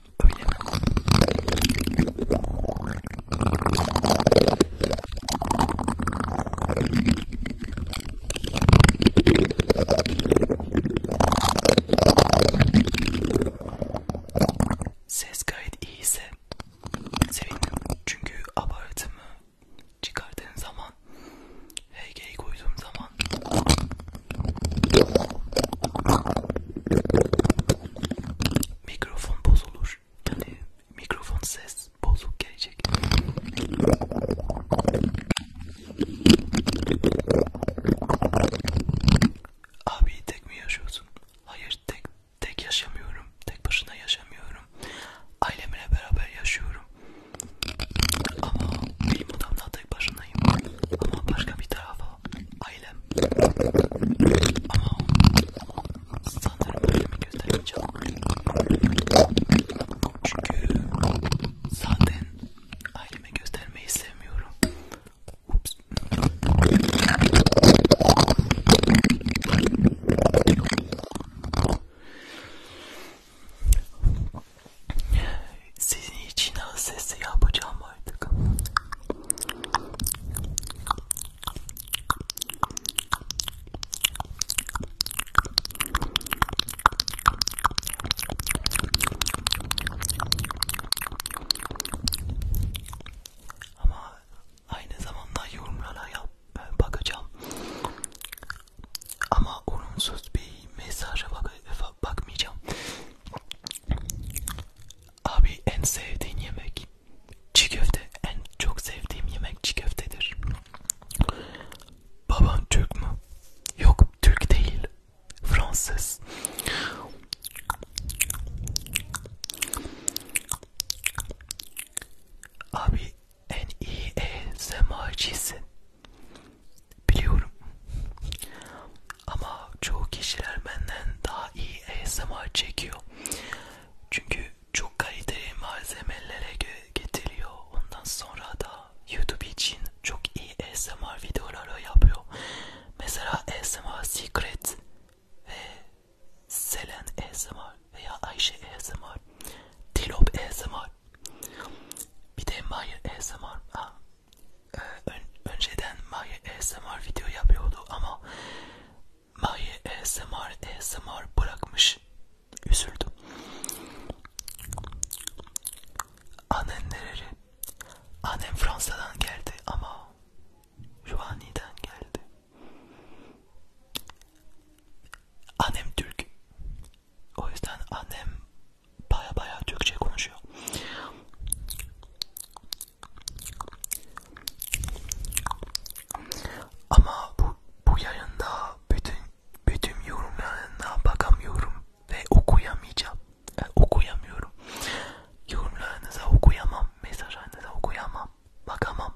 Öyle mi? Ses gayet iyiyse sevinirim çünkü abartımı çıkardığım zaman HG'yi koyduğum zaman mikrofon bozulur. Yani mikrofon ses bozuk gelecek. Abi tek mi yaşıyorsun? Hayır tek tek yaşamıyorum. Tek başına yaşamıyorum. Ailemle beraber yaşıyorum. Ama benim odamda tek başınayım. Ama başka bir tarafa ailem ama sanırım ailemi göstermeyeceğim çünkü zaten aileme göstermeyi sevmiyorum Ups. Sizin için az sesi yapacağım artık. Ama aynı zamanda yorumlara yap, e, bakacağım. Ama olumsuz bir mesaja bak e, bakmayacağım. Abi en sevdiğin yemek çiğ köfte. En çok sevdiğim yemek çiğ köftedir. Baban Türk mü? Yok Türk değil. Fransız. Abi en iyi ASMR'cisin. E Biliyorum. Ama çoğu kişiler benden daha iyi ASMR e çekiyor. Çünkü çok kaliteli malzemelere getiriyor. Ondan sonra da YouTube için çok iyi ASMR videoları yapıyor. Mesela ASMR Secret ve Selen ASMR veya Ayşe ASMR, Dilop ASMR, bir de Maya ASMR. Ha, e, önceden Maya ASMR video yapıyordu ama Maye ASMR ASMR bırakmış. Üzüldüm. Annem nereli? Annem Fransa'dan geldi ama Ruvani'den geldi. Annem Türk. O yüzden annem baya baya Türkçe konuşuyor. Ama bu bu yayında bütün bütün yorumlarına bakamıyorum ve okuyamayacağım. Yani e, okuyamıyorum. Yorumlarınıza okuyamam, mesajlarınıza okuyamam, bakamam.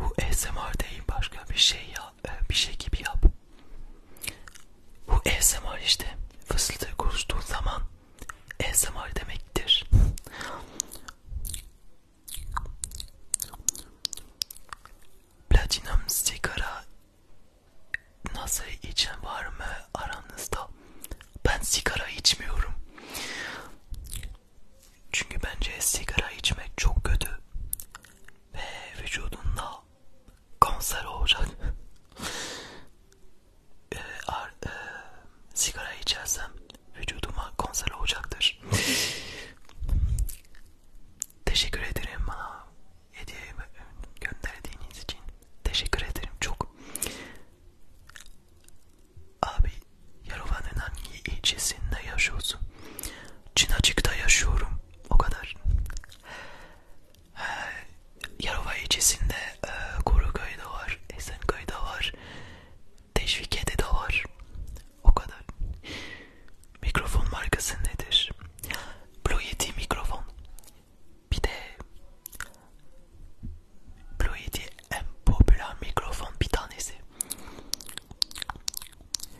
Bu ASMR değil başka bir şey ya e, bir şey gibi yap. Bu ASMR işte fısıltı konuştuğun zaman ASMR demektir. Platinum sigara nasıl içen var mı aranızda? Ben sigara içmiyorum. Çünkü bence sigara içmek çok kötü ve vücudunda kanser olacak. e, ar, e, sigara içersem vücuduma kanser olacaktır. Teşekkür ederim bana hediye gönderdiğiniz için. Teşekkür ederim çok. Abi Yalova'nın hangi ilçesinde yaşıyorsun? Çinacık'ta yaşıyorum. O kadar. Ee, Yarova ilçesinde e, Koruköy'de var, Esenköy'de var, Teşvikiye'de de var. O kadar. Mikrofon markası nedir? Blue Yeti mikrofon. Bir de Blue Yeti en popüler mikrofon bir tanesi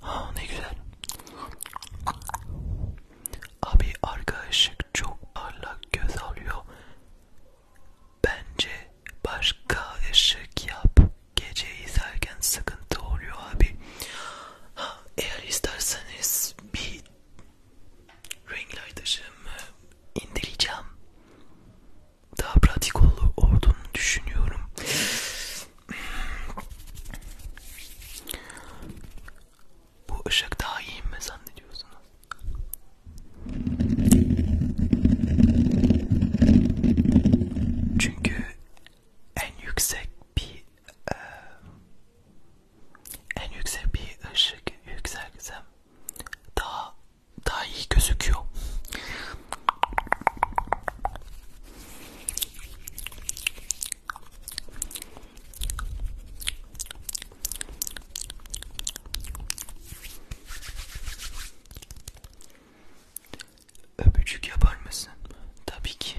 Ha ah, ne güzel. Abi arka ışık çok parlak göz alıyor. Bence başka ışık yap. Gece izlerken sıkıntı oluyor abi. Ha, eğer isterseniz bir renkli aydışımı indireceğim. Daha pratik olduğunu düşünüyorum. Bu ışık daha iyi mi zannediyorsunuz? Çünkü en yüksek bir e, en yüksek bir ışık yükseltsem daha daha iyi gözüküyor. Öpücük yapar mısın? Tabii ki.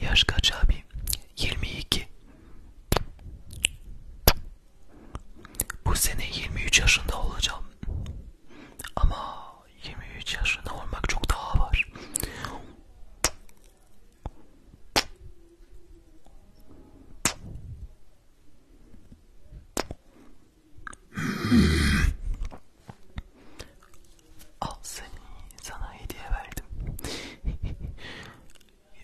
Yaş kaç abi? 22. Bu sene 23 yaşında olacağım. Ama 23 yaşında olmak çok daha var. Al seni sana hediye verdim.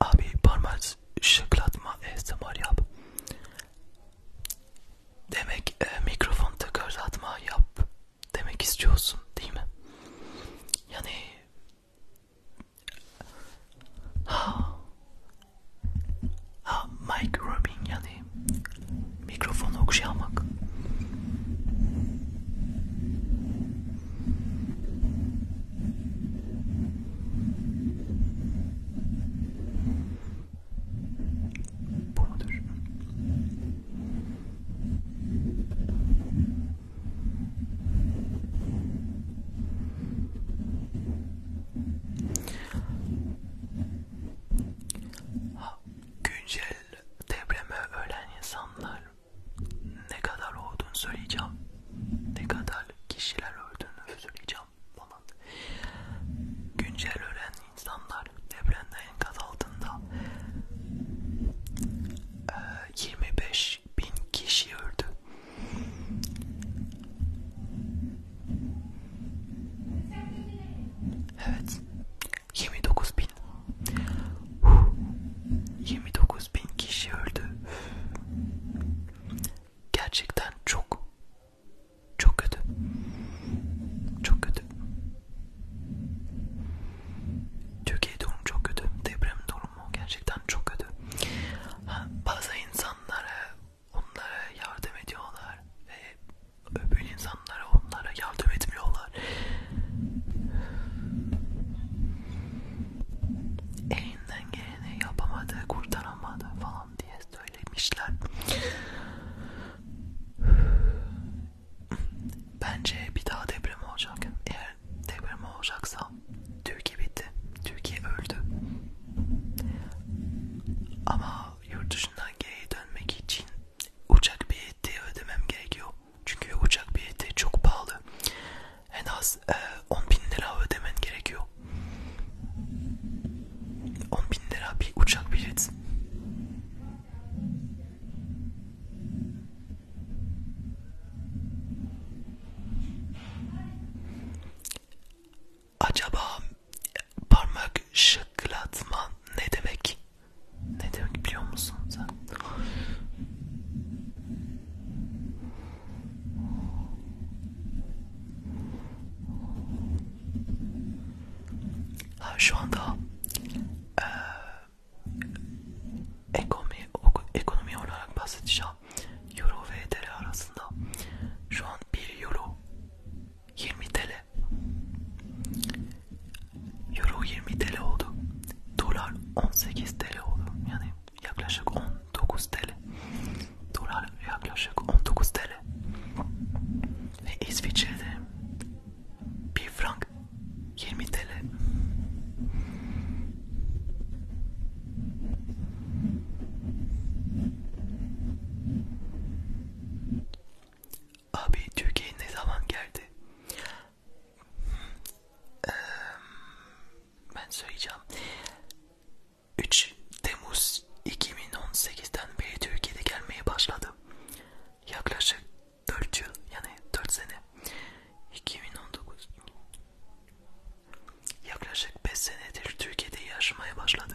Abi parmak şıklatma ASMR yap. Demek e, mikrofon tıkırdatma yap demek istiyorsun değil mi? Yani ha ha mic rubbing yani mikrofonu okşamak. Bu mudur? Güncel depreme ölen insanlar ne kadar olduğunu söyleyeceğim. Ne kadar kişiler öldüğünü söyleyeceğim falan. Güncel ölen insanlar depremde enkaz altında e, 25 bin kişi öldü. Evet. 29 bin. 29 bin kişi öldü Gerçekten çok çok kötü. Çok kötü. Türkiye durumu çok kötü. Deprem durumu gerçekten çok kötü. Ha, bazı insanlara onlara yardım ediyorlar ve öbür insanlara onlara yardım etmiyorlar. En elinden geleni yapamadı, kurtaramadı falan diye söylemişler. Bence bir daha deprem olacak. Eğer deprem olacaksa Türkiye bitti. Türkiye öldü. Ama yurt dışından geri dönmek için uçak bileti ödemem gerekiyor. Çünkü uçak bileti çok pahalı en az e, 10 bin lira ödemen gerekiyor. 10 bin lira bir uçak bilet. Acaba parmak şıklatma ne demek? Ne demek biliyor musun sen? Ha, şu anda e, ekonomi, ekonomi olarak bahsedeceğim. Euro ve TL arasında şu an 1 euro 20 TL. Euro 20 TL oldu. Dolar 18 TL oldu. Yani yaklaşık 19 TL. Dolar yaklaşık 19 TL. Ve İsviçre'de 1 frank 20 TL. Abi Türkiye ne zaman geldi? Ee, ben söyleyeceğim. 3 Temmuz 2018'den beri Türkiye'de gelmeye başladı. Yaklaşık 4 yıl yani 4 sene. 2019 yaklaşık 5 senedir Türkiye'de yaşamaya başladı.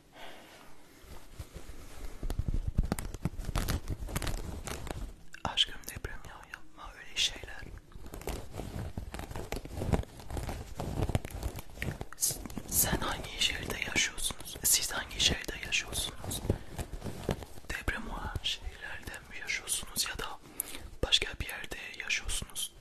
Aşkım deprem ya yapma öyle şeyler. Siz, sen hangi şehirde yaşıyorsunuz? Siz hangi şehirde yaşıyorsunuz? Deprem olan şehirlerden mi yaşıyorsunuz ya da başka bir yerde yaşıyorsunuz?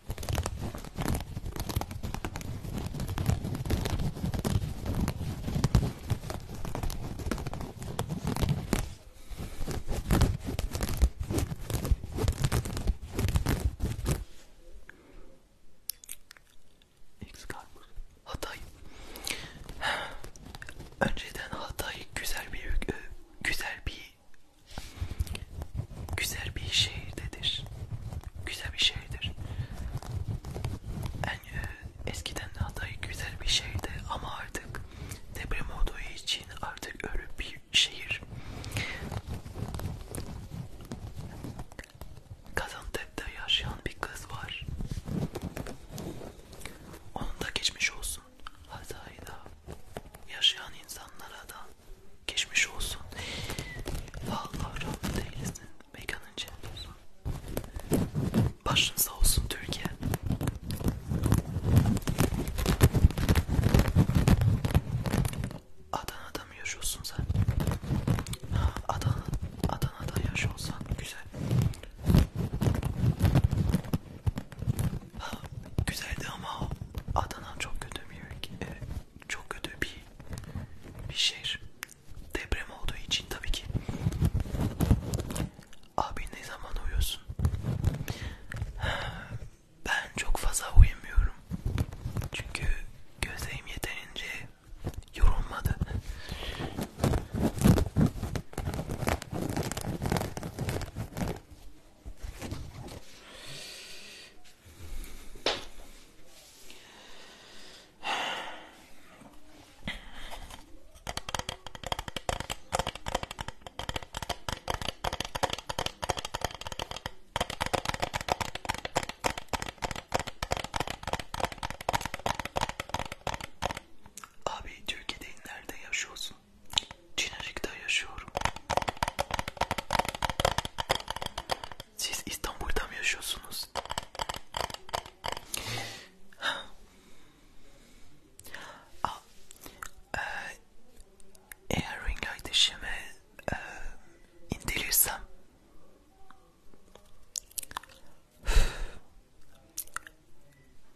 Excalibur Hatay Önceden Hatay güzel bir e, güzel bir güzel bir şehirdedir. Güzel bir şehirdir. En e, eskiden Hatay güzel bir şehirdi ama artık deprem olduğu için artık öyle bir şehir. Gaziantep'te yaşayan bir kız var. Onun da geçmiş olsun. Hatay'da yaşayan insanlara da Geçmiş olsun. Vallahi rahat değilsin. Mekanın cennet olsun. Başın sağ olsun Türkiye. Adana'da mı yaşıyorsun sen? Adana, Adana'da yaşıyorsan güzel. Ha, güzeldi ama Adana çok kötü bir ülke çok kötü bir, bir şehir. Deprem olduğu için tabii ki. Abi ne zaman uyuyorsun? Ben çok fazla uyumuyorum. Çünkü gözlerim yeterince yorulmadı. Abi Türkiye'de nerede yaşıyorsun? Çinarik'te yaşıyorum. Siz İstanbul'da mı yaşıyorsunuz? Aa, e, eğer ring ateşimi e, indirirsem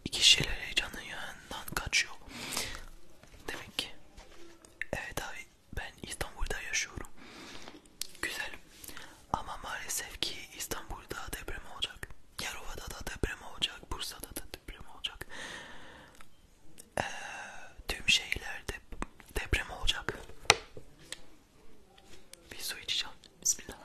iki şeyler heyecanın yanından kaçıyor. Demek ki evet abi ben İstanbul'da yaşıyorum. Güzel. Ama maalesef ki İstanbul'da deprem olacak. Yarova'da da deprem olacak. Bursa'da da deprem olacak. Ee, tüm şeylerde deprem olacak. Bir su içeceğim. Bismillah.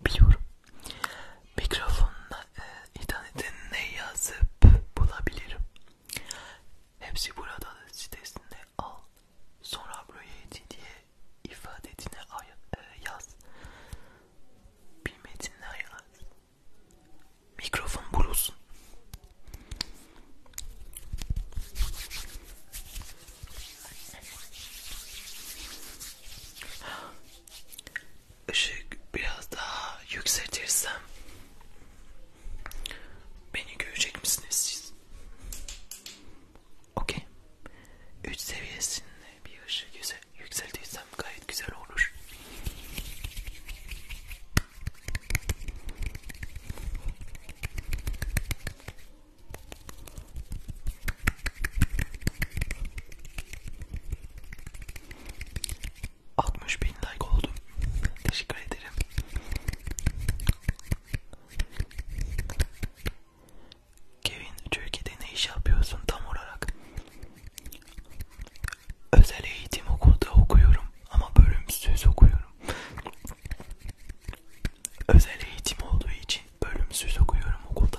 biliyorum. Mikrofonla e, internette ne yazıp bulabilirim. Hepsi burada da sitesinde al. Sonra proyeti diye ifadetine ay e, yaz. Bir metinle yaz. Mikrofon bulursun ışık biraz daha yükseltirsem beni görecek misiniz siz? Okey. 3 seviyesinde bir ışık yüksel yükseltirsem gayet güzel olur. 60 bin like oldu. Teşekkür ederim. Kevin Türkiye'de ne iş yapıyorsun tam olarak? Özel eğitim okulda okuyorum ama bölümsüz okuyorum. Özel eğitim olduğu için bölümsüz okuyorum okulda.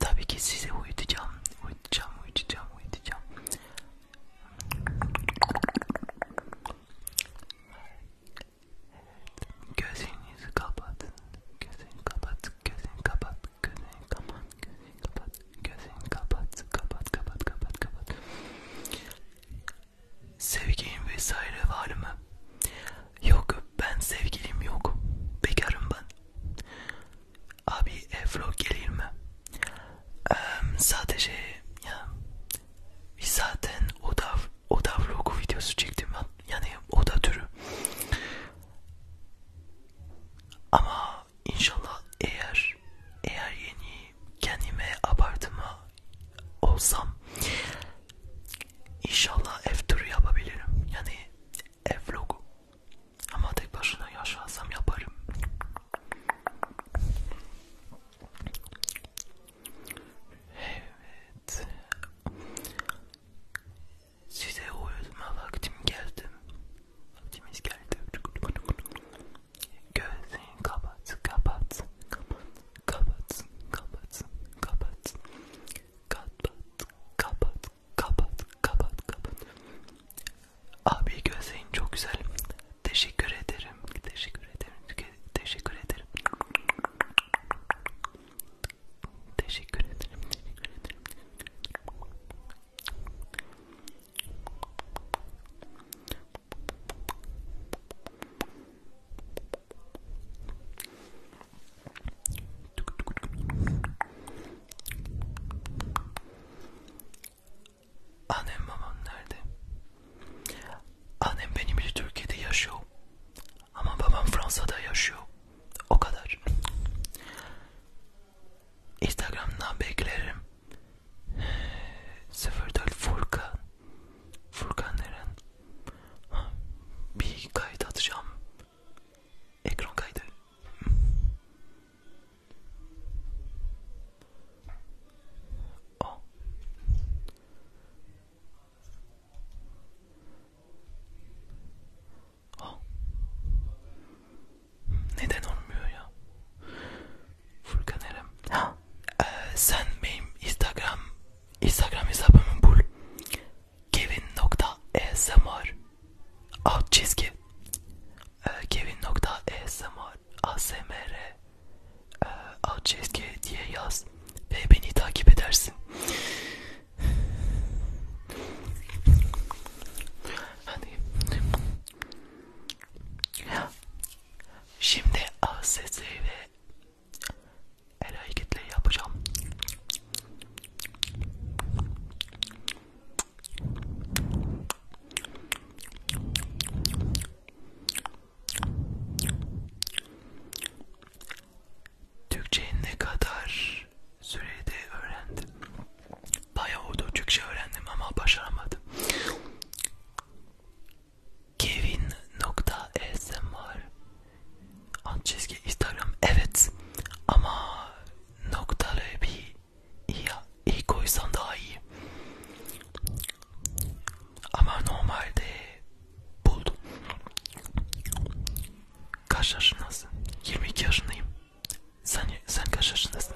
Tabii ki sizi uyutacağım, uyutacağım, uyutacağım, uyutacağım. Gözünüzü kapatın, gözünü kapat, gözünü kapat, gözünü kapat, gözünü kapat, gözünü kapat, kapat, kapat, kapat, kapat. Sevgin vesaire var mı? Yok ben sevgilim yok. Bekarım ben. Abi e, vlog gelir mi? Ee, sadece ya zaten oda, oda vlogu videosu çektim ben. Yani oda türü. Ama inşallah eğer eğer yeni kendime apartma olsam İnşallah ev turu yapabilirim. Yani ev vlogu. Ama tek başına yaşarsam yaparım. Evet. Size uyutma vaktim geldi. Vaktimiz geldi. Gözlerini kapat, kapat, kapat, kapat, kapat, kapat. Kapat, kapat, kapat, kapat, kapat. Abi gözlerin çok güzel. Teşekkür ederim. Teşekkür ederim. Teşekkür ederim. Teşekkür ederim. Teşekkür ederim. Annem babam nerede? Annem benim için Türkiye'de yaşıyor. Ama babam Fransa'da yaşıyor. O kadar. Instagram'dan beklerim. 04 Furkan. Furkan Eren. Bir kayıt atacağım. Ekran kaydı. Oh. Oh. Neden olmuyor ya? Furkan Erem. Ha. Ee, sen benim Instagram Instagram hesabımı bul. Kevin.ASMR alt çizgi ee, Kevin.ASMR ASMR ee, alt çizgi diye yaz ve beni takip edersin. Hadi. Şimdi ASS ve El hareketle yapacağım. Türkçeyi ne kadar sürede öğrendim? Bayağı oldu Türkçe öğrendim ama başaramadım. Kevin nokta esm var. Alt çizgi Instagram evet ama noktalı bir ya iyi koysan daha iyi. Ama normalde buldum. Kaç yaşındasın? 22 yaşındayım. Sen sen kaç yaşındasın?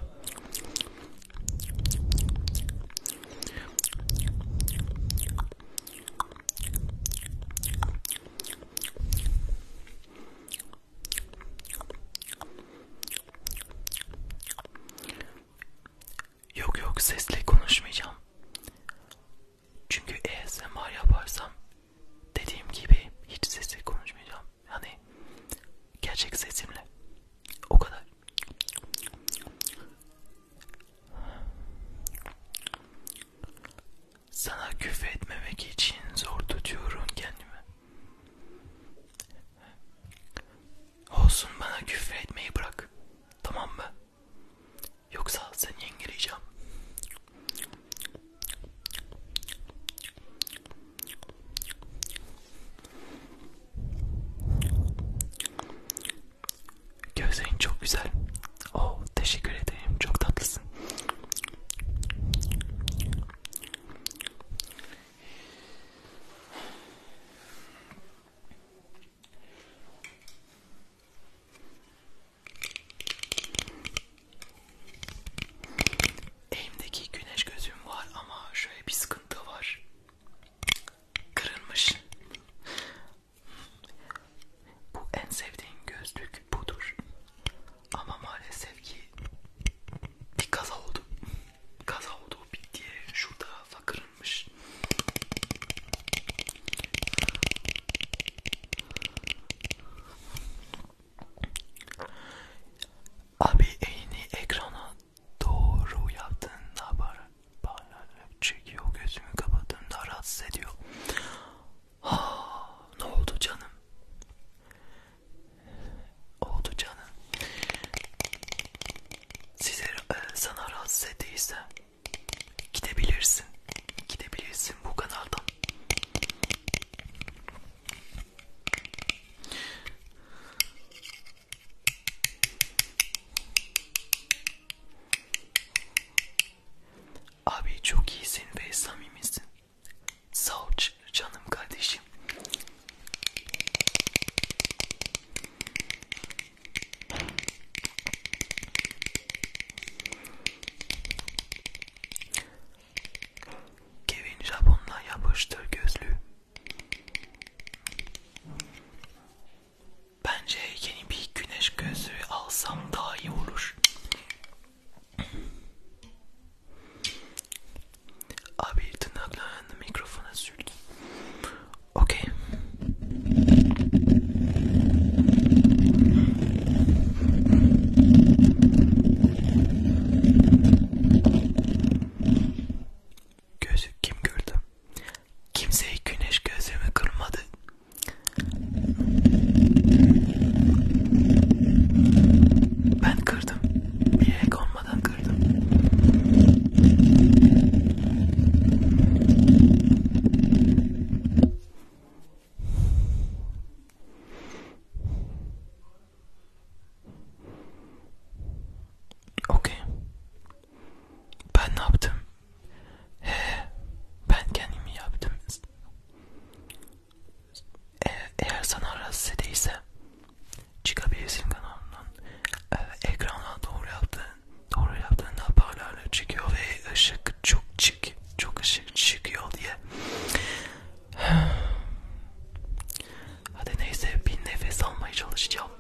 Yok yok sesle konuşmayacağım. Çünkü ASMR yaparsam dediğim gibi hiç sesle konuşmayacağım. Yani gerçek sesimle. O kadar. Sana küfür etmemek için zor tutuyorum kendimi. Olsun bana küfür etmeyi bırak. Tamam mı? Yoksa seni yengeleyeceğim. Gözlerin çok güzel. Oh, teşekkür ederim. Çok tatlısın. Elimdeki güneş gözüm var ama şöyle bir sıkıntı var. Kırılmış. Bu en sevdiğim gözlük budur. Ama maalesef ki bir kaza oldu. Kaza oldu bir diye şurada fakırınmış. Abi elini ekrana doğru yaptığında parlak çekiyor gözümü kapattığımda rahatsız ediyor Ha, ne oldu canım? Oldu canım. Size e, sana rahatsız ettiyse gidebilirsin. Gidebilirsin bu kanaldan. Abi çok iyisin ve samimisin. Sağ ol canım kardeşim. Kevin Japon'la yapıştır gözlü. Bence yeni bir güneş gözlüğü alsam daha iyi olur. Abi tırnaklarını mikrofona sürdüm. Okey. Gözü kim gördü? Kimseyi güneş gözümü kırmadı. Ben kırdım. Bilerek olmadan kırdım. Okey. Ben ne yaptım? He, ben kendimi yaptım. E, eğer sana rahatsız ediyse çıkabilirsin kanalından. E, ekrana doğru yaptığın, doğru yaptığında parlarla çıkıyor ve ışık çok çık, çok ışık çıkıyor diye. Hadi neyse bir nefes almaya çalışacağım.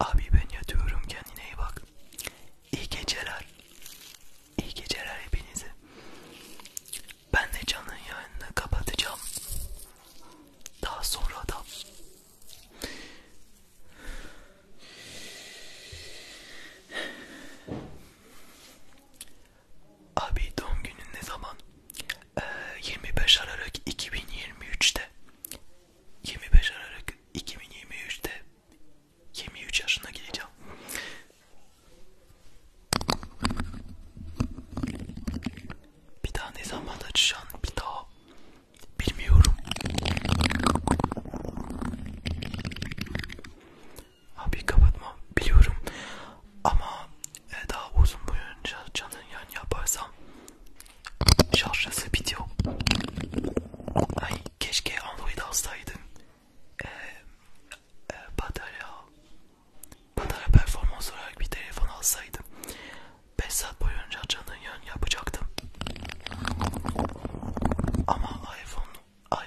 Abi ben yatıyorum kendine iyi bak. İyi geceler. İyi geceler hepinize. Ben de canın yayını kapatacağım. Daha sonra da Abi doğum günün ne zaman? Ee, 25 Aralık 2023'te. 25 Aralık 2023'te 23 yaşına gireceğim. Bir daha ne zaman açacaksın? Bir daha Bilmiyorum. Abi kapatma biliyorum ama e, daha uzun boyunca canın yan yaparsam şarjası bitiyor. Ay keşke Android alsaydın. E, e, batarya, batarya performans olarak bir telefon alsaydım. 5 saat boyunca canın yön yapacaktım. Ama iPhone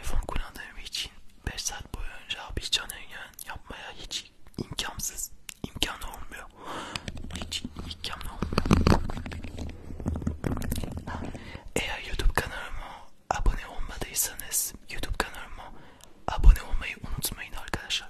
iPhone kullandığım için 5 saat boyunca bir canın yön yapmaya hiç imkansız. İmkan olmuyor. Hiç imkan olmuyor. Eğer YouTube kanalıma abone olmadıysanız YouTube kanalıma abone olmayı unutmayın arkadaşlar.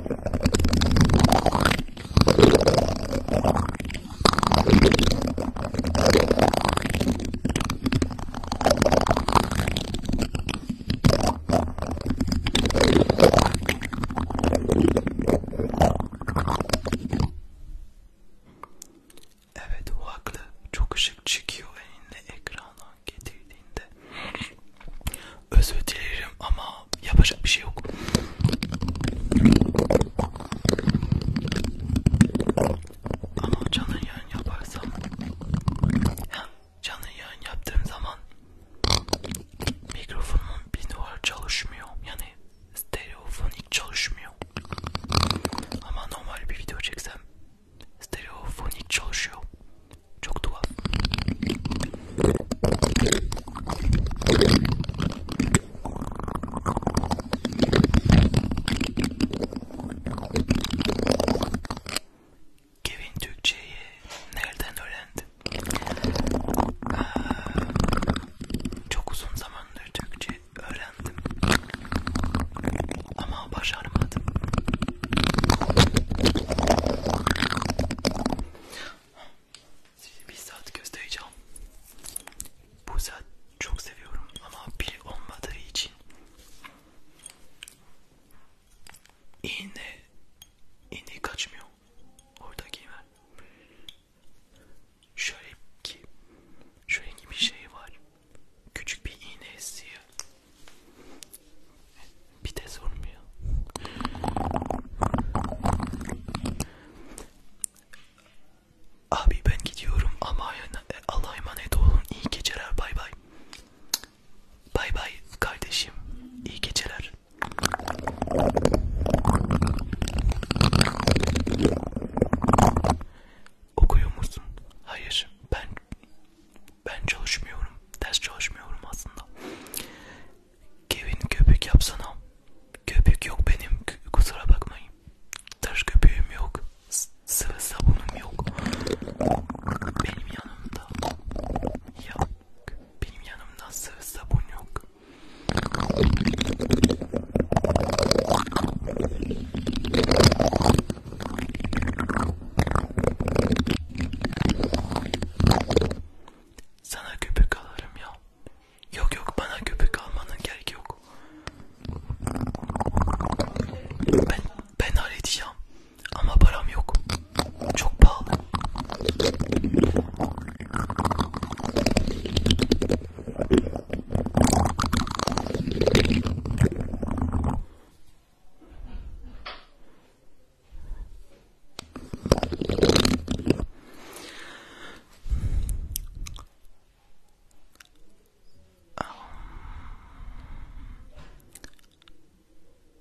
Evet o haklı. Çok ışık çıkıyor eline ekrandan getirdiğinde. Özür dilerim ama yapacak bir şey yok. Ama canlı yayın yaparsam hem canlı yayın yaptığım zaman mikrofonumun bir duvar çalışmıyor. Yani stereofonik çalışmıyor. Ama normal bir video çeksem stereofonik çalışıyor. Çok tuhaf. Kevin Türkçeyi nereden öğrendin? Ee, çok uzun zamandır Türkçe öğrendim. Ama başaramadım size bir saat göstereceğim. Bu saat çok seviyorum ama pil olmadığı için iğne iğne kaçmıyor oradaki hemen. Şöyle ki şöyle gibi bir şey var. Küçük bir iğne esiyor. Bir de sormuyor. Abi ben gidiyorum ama e, Allah'a emanet olun. İyi geceler. Bay bay. Bay bay kardeşim. İyi geceler. Okuyor musun? Hayır. Ben ben çalışmıyorum. Ders çalışmıyorum aslında. Kevin köpük yapsana. Köpük yok benim kusura bakmayın. Taş köpüğüm yok. Sıvı sabunum yok. Benim yanımda yok. Benim yanımda sıvı sabun yok. Sana köpük alırım ya. Yok yok bana köpük almanın gerek yok. Ben, ben halledeceğim. Ama param yok. Çok pahalı.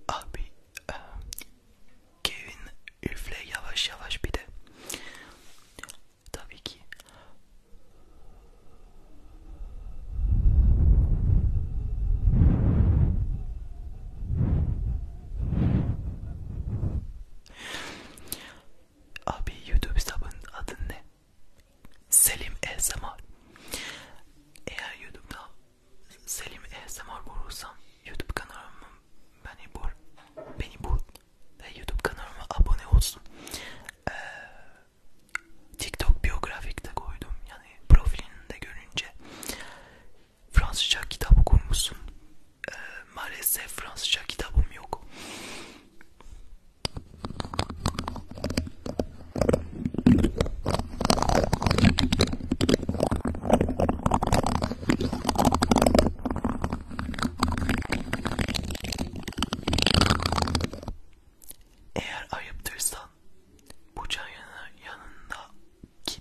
Abi e, Kevin üfle yavaş yavaş bir de tabii ki Abi YouTube hesabının adı ne? Selim ASMR. Eğer YouTube'da Selim ASMR bulursam YouTube kanalıma beni bul, beni bul ve YouTube kanalıma abone olsun. Ee, TikTok biyografikte koydum yani profilinde görünce Fransızca kitap okumuşsun. Ee, maalesef Fransızca kitabım yok. Eğer ayıptırsan bu çayın yanındaki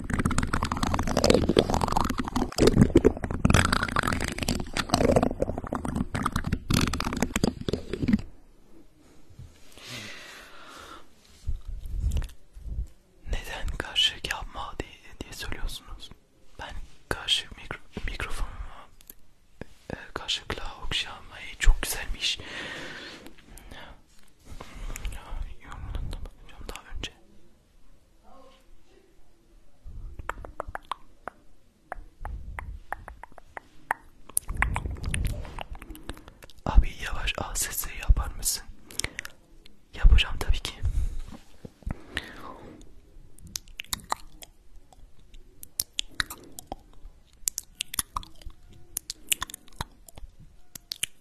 Neden karşılık yapma diye, diye söylüyorsunuz? Ben karşı mikro, mikrofonumu e, karşılıkla okşamayı çok güzelmiş yorumlarına bakacağım daha önce. Abi yavaş ASS yapar mısın? Yapacağım tabii ki.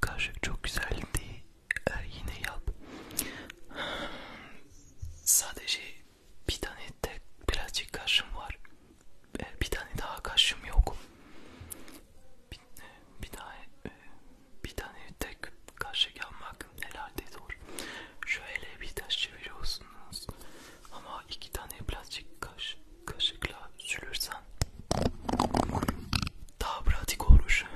Kaşık çok güzeldi. Ee, er, yine yap. Sadece bir tane tek birazcık kaşım var. Ee, bir tane daha kaşım yok. Bir, e, bir daha e, bir tane tek kaşık yapmak herhalde zor. Şöyle bir taş çeviriyorsunuz. Ama iki tane birazcık kaş kaşıkla sülürsen daha pratik olur.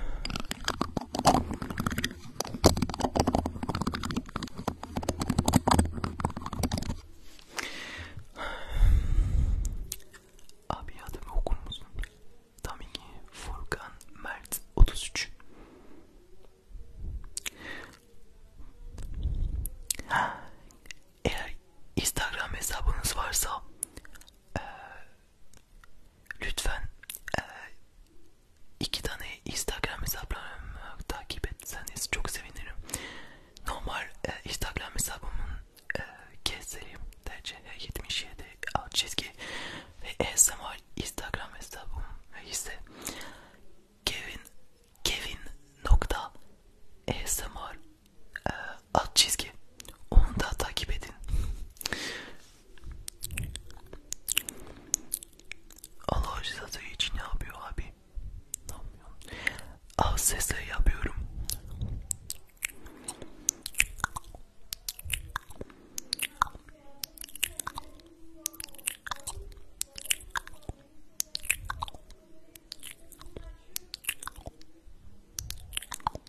Abi adımı okur musun? Tam iki Furkan Mert 33. Eğer Instagram hesabınız varsa e, lütfen e, iki tane Instagram hesaplarımı takip etseniz çok sevinirim. Normal e, Instagram hesabımın e, keselim TCH77 alt çizgi ve ASMR Instagram hesabım ise Kevin Kevin nokta ASMR e, alt çizgi onu da takip edin Allah rızası için ne yapıyor abi ne yapıyor az sesle yapıyorum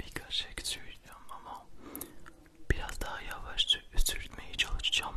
Birkaç şey söyleyeceğim ama biraz daha yavaş sürtmeye çalışacağım.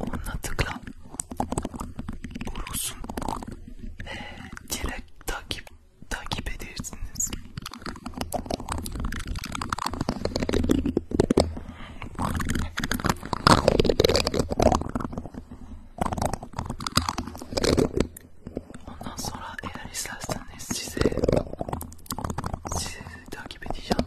Onunla tıkla. Bulursun. Ve direkt takip, takip edersiniz. Ondan sonra eğer isterseniz size sizi takip edeceğim.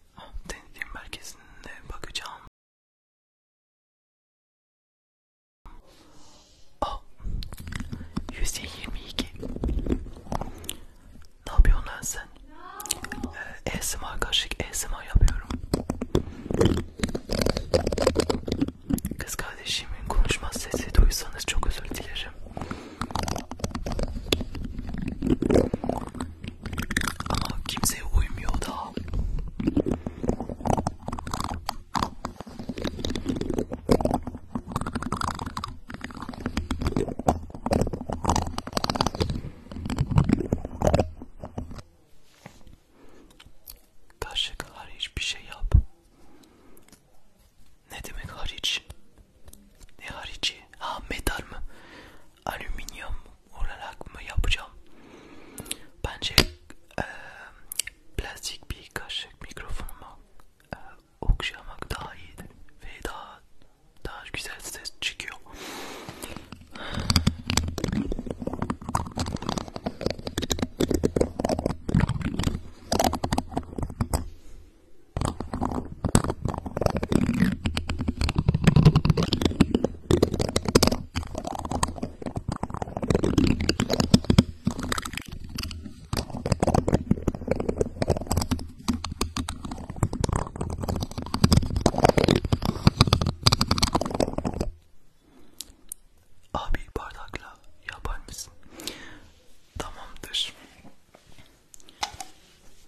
denetim merkezinde bakacağım. Oh, 122. Ne yapıyorsun lan sen? Ee, ASMR karşılık ASMR yapıyorum. Kız kardeşimin konuşma sesi duysanız çok özür dilerim. Ama kimseye uymuyor da. Kaşık hariç bir şey yap. Ne demek hariç? Ne harici? Ha metal mı? alüminyum olarak mı yapacağım? Bence e, plastik bir kaşık mikrofonuma e, okşamak daha iyidir ve daha daha güzel ses çıkıyor. Abi bardakla yapar mısın? Tamamdır.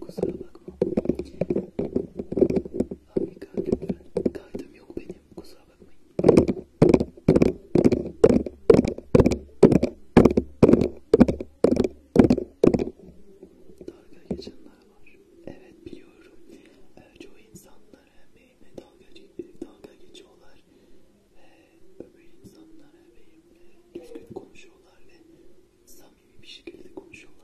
Kusura bakma. Harika lütfen. Kaydım yok benim. Kusura bakmayın. Dalga geçenler var. Evet biliyorum. Ee, çoğu insanlar emeğime dalga, e, dalga geçiyorlar. Ve ee, öbür insanlar emeğimle düzgün konuşuyorlar ve sağ samimi bir şekilde konuşuyorlar.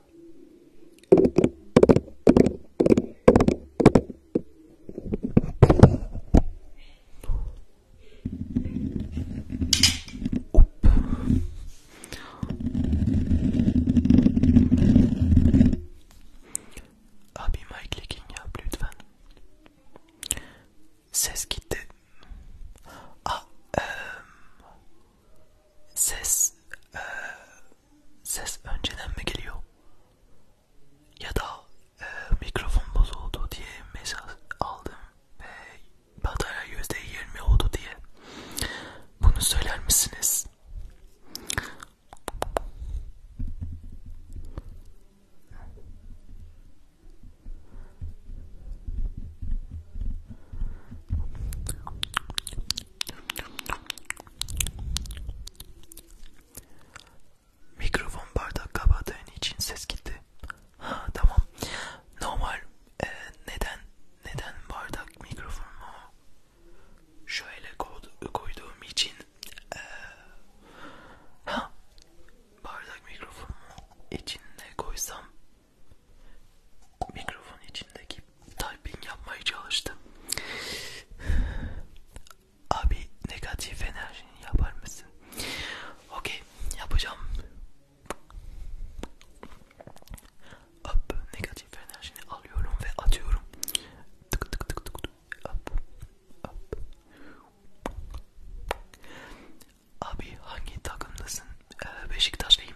Abi mic leaking yap lütfen. Ses gitti. Ah, e, ses e, ses önceden mi geliyor ya da e, mikrofon bozuldu diye mesaj aldım ve batarya %20 oldu diye bunu söyler misiniz? Mikrofon bardak kapadığın için ses gitti. Ha tamam. Normal. Ee, neden neden bardak mikrofonumu şöyle koyduğum için ee, ha bardak mikrofonumu içine koysam Mikrofon içindeki typing yapmaya çalıştım. Abi negatif enerji yapar mısın? Okey yapacağım. Hop negatif enerjini alıyorum ve atıyorum. Tık tık tık tık. Hop. Hop. Abi hangi takımdasın? Ee, Beşiktaşlıyım.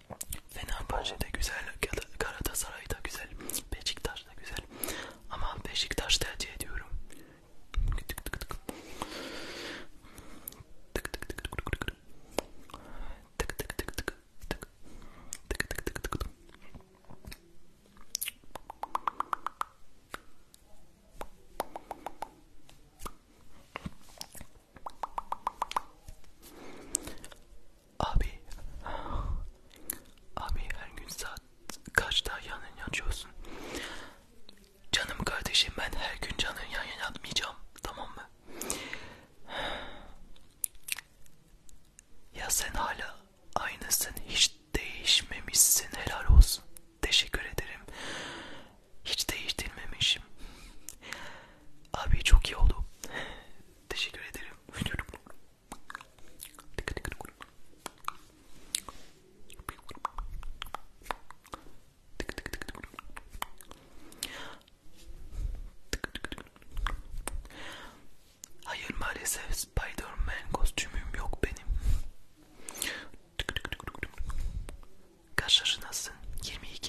Fenerbahçe de güzel, Galatasaray da güzel, Beşiktaş da güzel. Ama Beşiktaş tercih ediyorum. Tık tık tık. Tık tık tık tık tık. Tık tık tık tık. Tık tık tık tık tık. Abi Abi her gün saat kaçta yan yana yatıyorsun? Canım kardeşim ben her gün canın yan yana yatmayacağım tamam mı? Ya sen hala aynısın hiç değişmemişsin helal olsun. Teşekkür ederim. Hiç değiştirmemişim. Abi çok iyi oldu. Teşekkür ederim. Hayır maalesef Spider-Man kostümüm yok benim. Kaç yaşındasın? 22.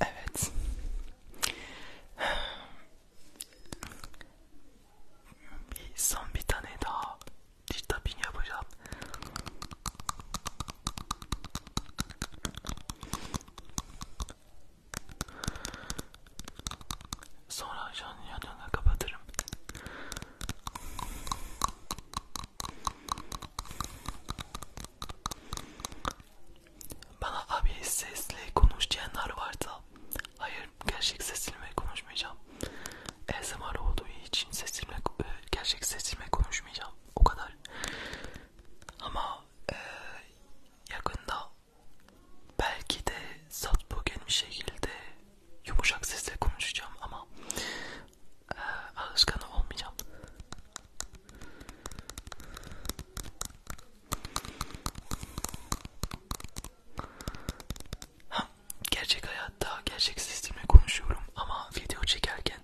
Evet. Bir son bir tane daha diş tapping yapacağım. Sonra canlı yanına kapatırım. Bana abi sesli konuş diyenler varsa hayır gerçek sesimle konuşmayacağım. ASMR olduğu için sesimle e, gerçek sesimle konuşmayacağım. O kadar. Ama e, yakında belki de sat bugün bir şekilde yumuşak sesle konuşacağım ama ee, ağızkanı olmayacağım. Ha, gerçek hayatta gerçek sistemle konuşuyorum ama video çekerken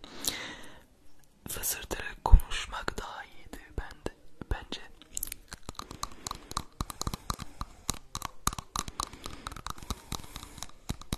fısırtırarak konuşmak daha iyiydi bende, bence.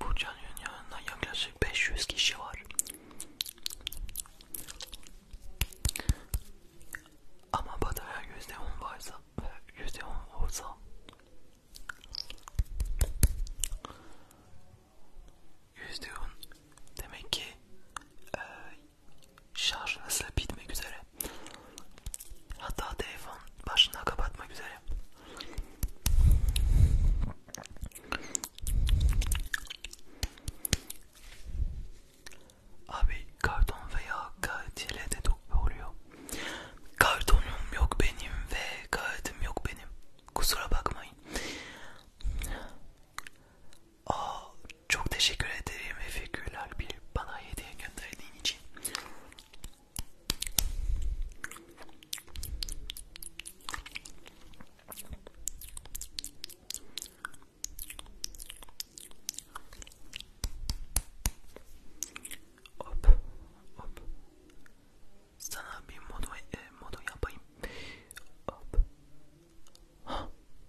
Bu canyonun yanında yaklaşık 500 kişi var. Ama batarya %10 varsa ve %10 olsa %10 demek ki şarj hızla bitmek üzere. Hatta telefon başına kapatmak üzere. Abi karton veya kağıt de oluyor. Kartonum yok benim ve kağıdım yok benim. Kusura bakmayın. Aa, ah, çok teşekkür ederim Efeküller bir bana hediye gönderdiğin için. Hop, hop. Sana bir modu, e, modu yapayım. Hop. Ha,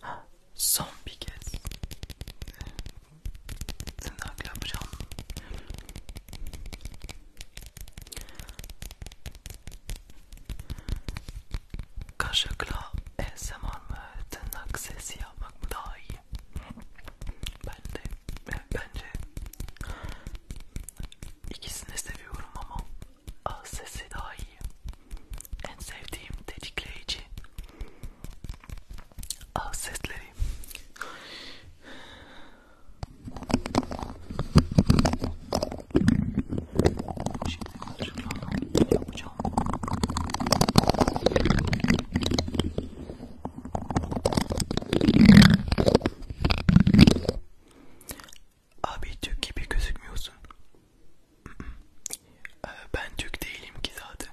Ha, son bir kez tırnak yapacağım. Kaşıkla ASMR mı tırnak sesi yapmak mı daha iyi? Ben de bence İkisini seviyorum ama ağız sesi daha iyi. En sevdiğim tetikleyici ağız sesleri. Şimdi karşılığını yapacağım. Abi Türk gibi gözükmüyorsun. Ee, ben Türk değilim ki zaten.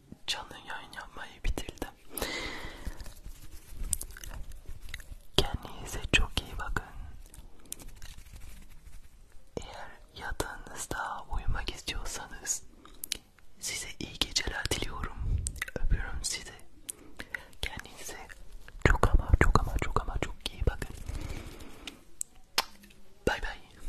canlı yayın yapmayı bitirdim. Kendinize çok iyi bakın. Eğer yatağınızda uyumak istiyorsanız size iyi geceler diliyorum. Öpüyorum sizi. Kendinize çok ama çok ama çok ama çok iyi bakın. Bay bay.